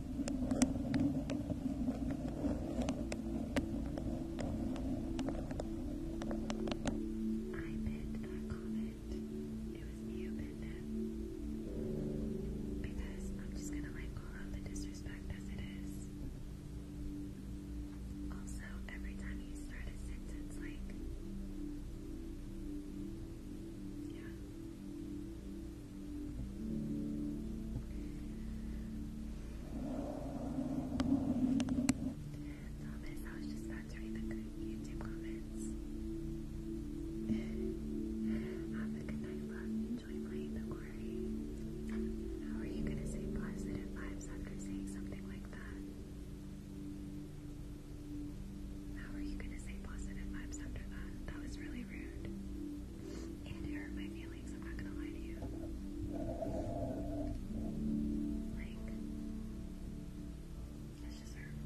pinned that comment. It was me who pinned Because I'm just gonna like call out the disrespect as it is. Also, every time you start a sentence like yeah. Thomas, I was just answering the YouTube comments. Have a good night, love. Enjoy playing the quarry. How are you gonna say positive vibes after saying something like that? How are you going to say positive vibes after that? That was really rude. And it hurt my feelings, I'm not going to lie to you. Like, it's just hurtful.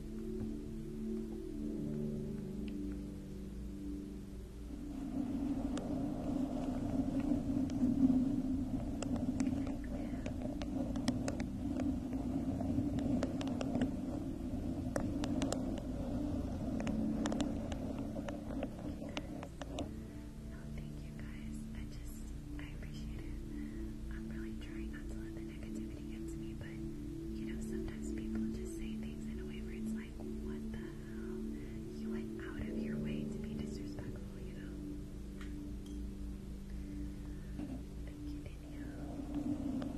Oh, thank you guys. I just I appreciate it. I'm really trying not to let the negativity get to me, you know, sometimes people just say things in a way where it's like, what the hell? You went out of your way to be disrespectful, you know? Thank you, Danielle.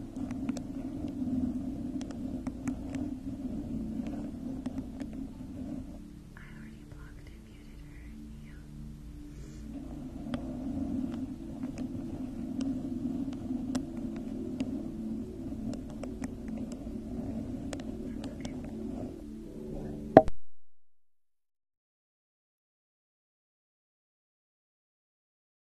I already blocked and muted her. Yeah. Okay.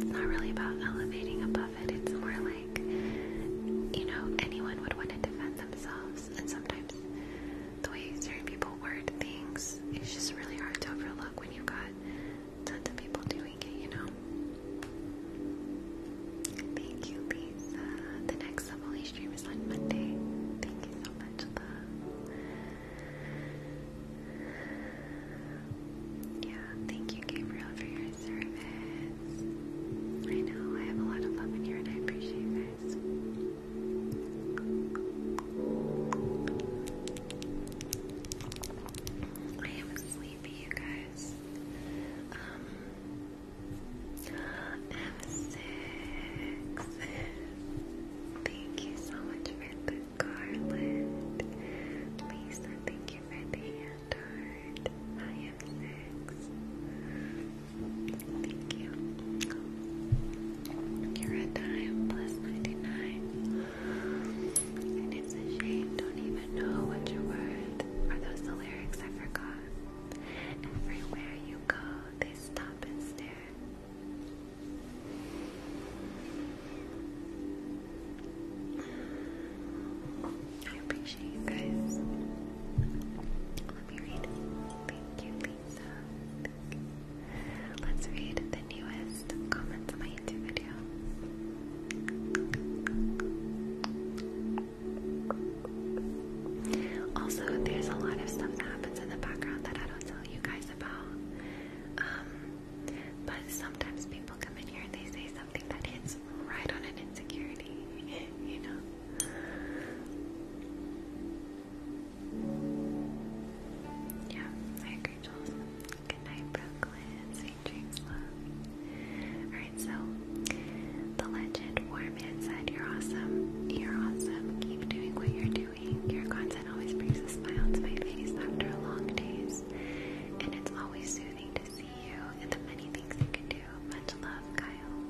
it's not really about elevating above it, it's more like, you know, anyone would want to defend themselves, and sometimes the way certain people word things it's just really hard to overlook when you've got tons of people doing it, you know? Thank you, Lisa. The next Somali stream is on Monday. Thank you so much, love. Yeah, thank you, Gabriel, for your service. I know I have a lot of love in here and I appreciate you guys. I am sleepy, you guys. Um, I'm six. Thank you so much for the garland. Lisa, thank you for the hand I am six. Thank you. You're a dime plus 99. And it's a shame, don't even know what you're Are those the lyrics I forgot? Everywhere you go, they stop and stare. I appreciate you guys. Let me read. Thank you, pizza. Let's read the newest comments on my YouTube video. Also, there's a lot of stuff that happens in the background that I don't tell you guys about. Um, but sometimes people come in here and they say something that hits right on an insecurity, you know? Yeah, I agree, Jules. Good night, Brooklyn. Sweet dreams, love. Alright, so the legend warm inside. You're awesome. You're awesome. Keep doing what you're doing. Your content always brings a smile to my face after long days. And it's always soothing to see you and the many things you can do. Much love, Kyle.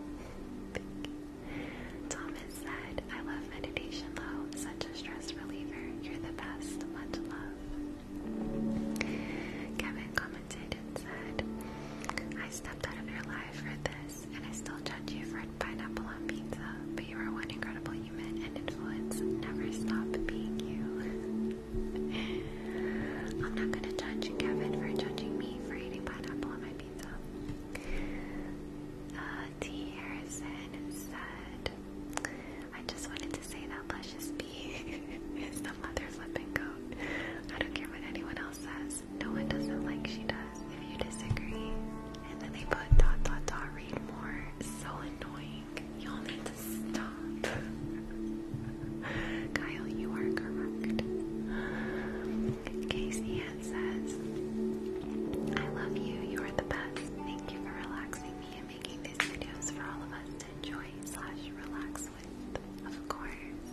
Thank you. Thomas said, I love meditation, though. Such a stress reliever. You're the best. Much love. Kevin commented and said, I stepped out of your life for this, and I still judge you for pineapple on pizza, but you are one incredible human and influence. Never stop being you. I'm not gonna judge Kevin for judging me for eating pineapple on my pizza. Uh, T. said, I just wanted to say that Luscious B is the mother flipping goat. I don't care what anyone else says. No one doesn't like she does. If you disagree. And then they put dot dot dot read more. So annoying. Y'all need to stop. Kyle, you are correct. Casey says, I love you, you are the best. Thank you for relaxing me and making these videos for all of us to enjoy slash relax with, of course.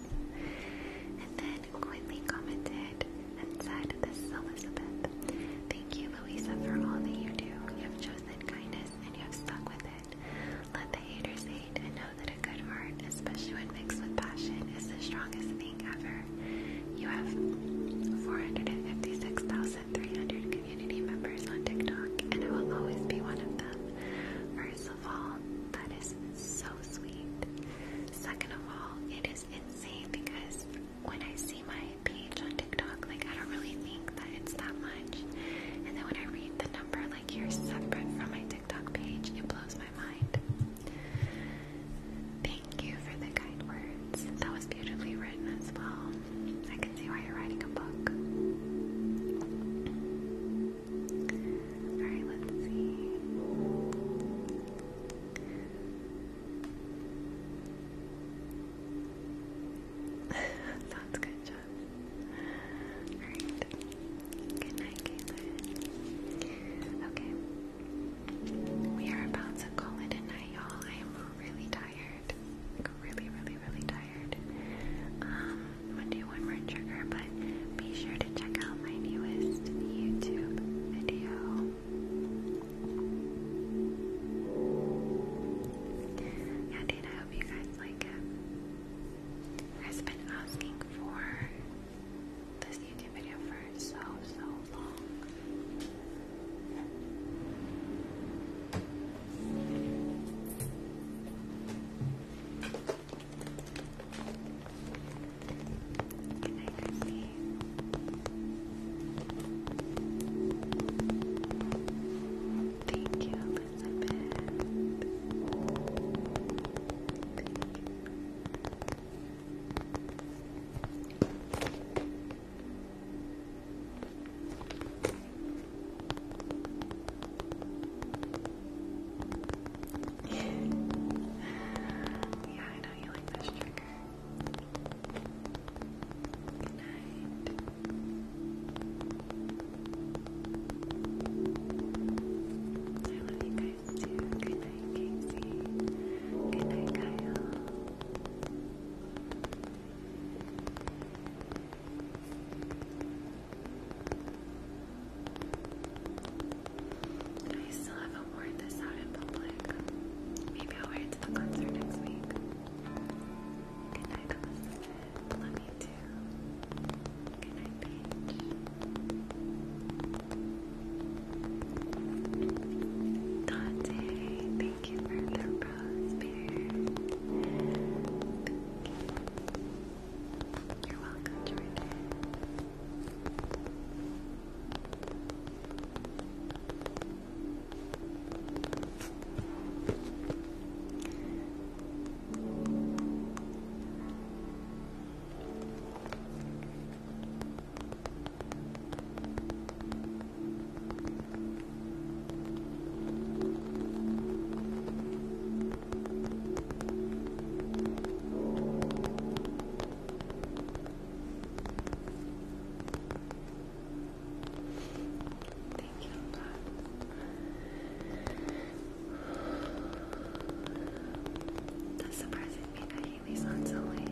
And then Quinley commented and said, this is Elizabeth. Thank you, Louisa, for all that you do. You have chosen kindness and you have stuck with it. Let the haters hate and know that a good heart, especially when mixed with passion, is the strongest thing ever. You have 456,300 community members on TikTok, and I will always be one of them. First of all, that is so sweet. Second of all, it is insane because when I see my page on TikTok, like I don't really think that it's that much. And then when I read the number, like you separate from my TikTok page, it blows my mind. Thank you for the kind words. That was beautifully written as well. I can see why you're writing a book. Alright, let's see. Sounds good, Josh. Alright. Good night, Caitlin. Okay. We are about to call it a night, y'all. I am really tired. really, really, really tired. Um, I'm do one more trigger, but be sure to check out my newest YouTube video. Yeah, dude, I hope you guys like it. You guys have been asking for this YouTube video for so, so long. Good night, Christy. Thank you, Elizabeth. Thank you yeah, I know you like this trigger. Good night. I love you guys too. Good night, Casey. Good night, Kyle. I still haven't worn this out in public. Maybe I'll wear it to the concert next week. Good night, Elizabeth. Love you too. Good night, Paige. Dante, thank you for the rose You. are welcome, Jordan. Thank you, love. That's surprising me that Haley's not so late.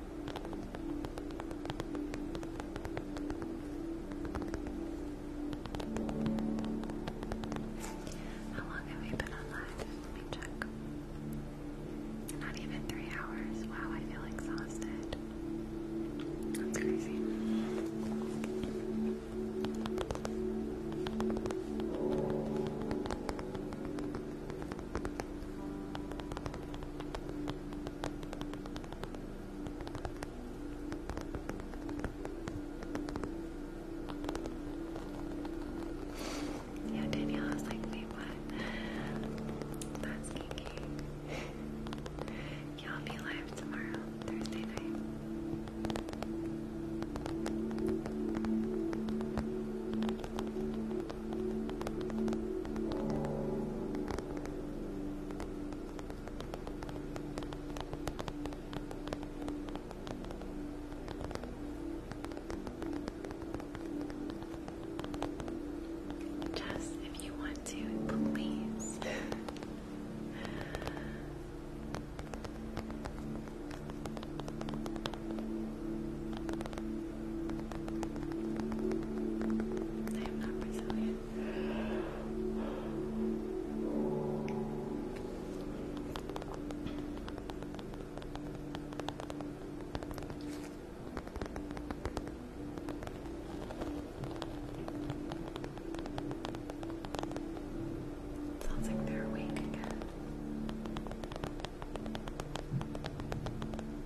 How long have we been online? let me check. Not even three hours. Wow, I feel exhausted. That's crazy. Yeah, Danielle was like, wait, what? That's kinky. yeah, i be live tomorrow, Thursday night. Just if you want to, please. I am not Brazilian. Sounds like they're awake again.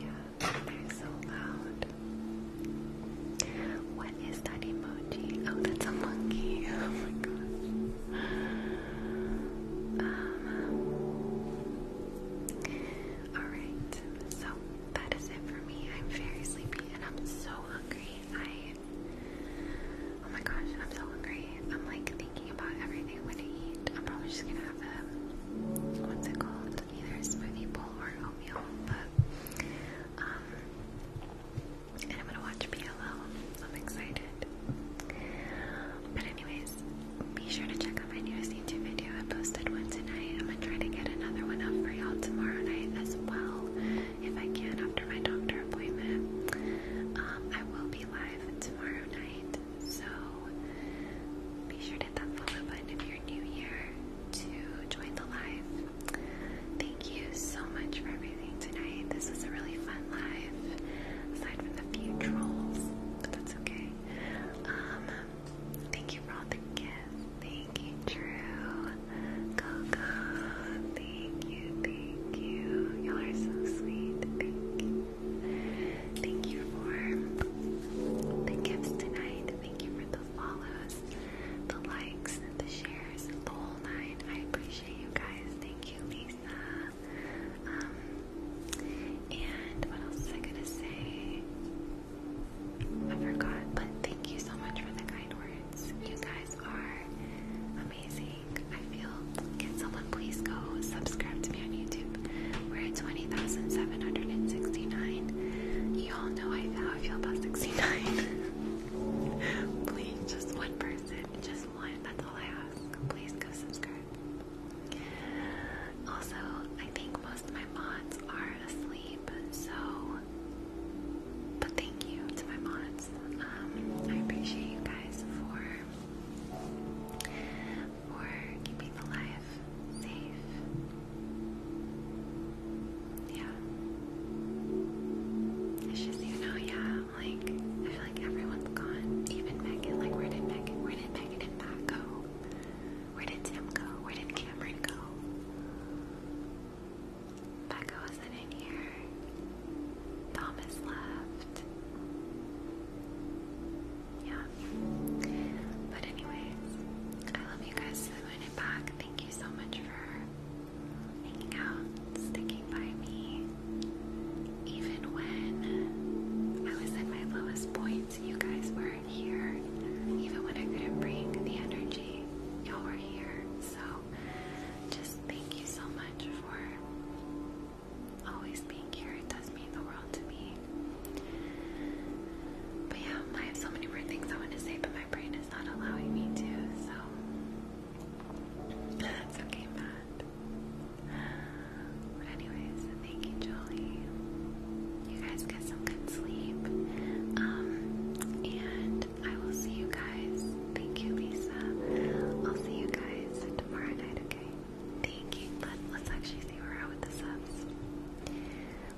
Yeah, they're so loud. What is that emoji? Oh, that's a monkey. Oh my gosh. Um, Alright, so that is it for me. I'm very sleepy and I'm so hungry. I. Oh my gosh, I'm so hungry. I'm like thinking about everything I'm gonna eat. I'm probably just gonna have a what's it called? Either a smoothie bowl or an oatmeal. But um, and I'm gonna watch PLL. I'm excited. But anyways, be sure to check out my newest YouTube video. I posted one tonight. I'm gonna try to get another one up for y'all tomorrow night as well, if I can after my doctor appointment. Um, I will be live tomorrow night so be sure to hit that follow button if you're new here to join the live. Thank you so much for everything tonight. This was a really fun live, aside from the few trolls, but that's okay. Um, thank you for all the gifts. Thank you, Drew. Coco, thank you, thank you. Y'all are so sweet. Thank you. Thank you for the gifts tonight. Thank you for the follows, the likes, the shares, all night. I appreciate you guys. Thank you, Lisa. Um, and what else was I gonna say? I forgot, but thank you so much for the kind words. You guys are amazing. I feel can someone please go subscribe to me on YouTube? We're at 20,769. You all know I, how I feel about 69. please, just one person, just one. That's all I ask. Please go subscribe. Also, I think most of my mods are asleep, so. But thank you to my mods. Um, I appreciate you guys for for keeping the life safe. Yeah. It's just, you know, yeah, like, I feel like everyone's gone. Even Megan, like, where did Megan, where did Megan and Pat go? Where did Tim go? Where did Cameron go? Becca wasn't in here. Thomas left yeah. But anyways, I love you guys so in Thank you so much for hanging out, sticking by me. Even when I was at my lowest points, you guys were not here. Even when I couldn't bring the energy, y'all were here. So just thank you so much for always being here. It does mean the world to me. But yeah, I have so many more things I want to say, but my brain is not allowing me to, so that's okay, Matt. Anyways, thank you, Jolie. You guys get some good sleep. Um, and I will see you guys. Thank you, Lisa. I'll see you guys tomorrow night, okay? Thank you. Let, let's actually see where we're at with the subs.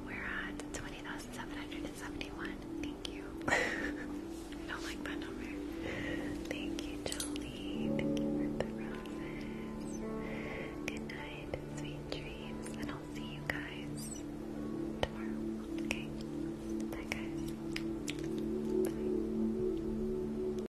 We're at 20,771. Thank you. don't like that number. Thank you, Jolie. Thank you for the roses. Good night. Sweet dreams. And I'll see you guys tomorrow. Okay? Bye, guys. Bye.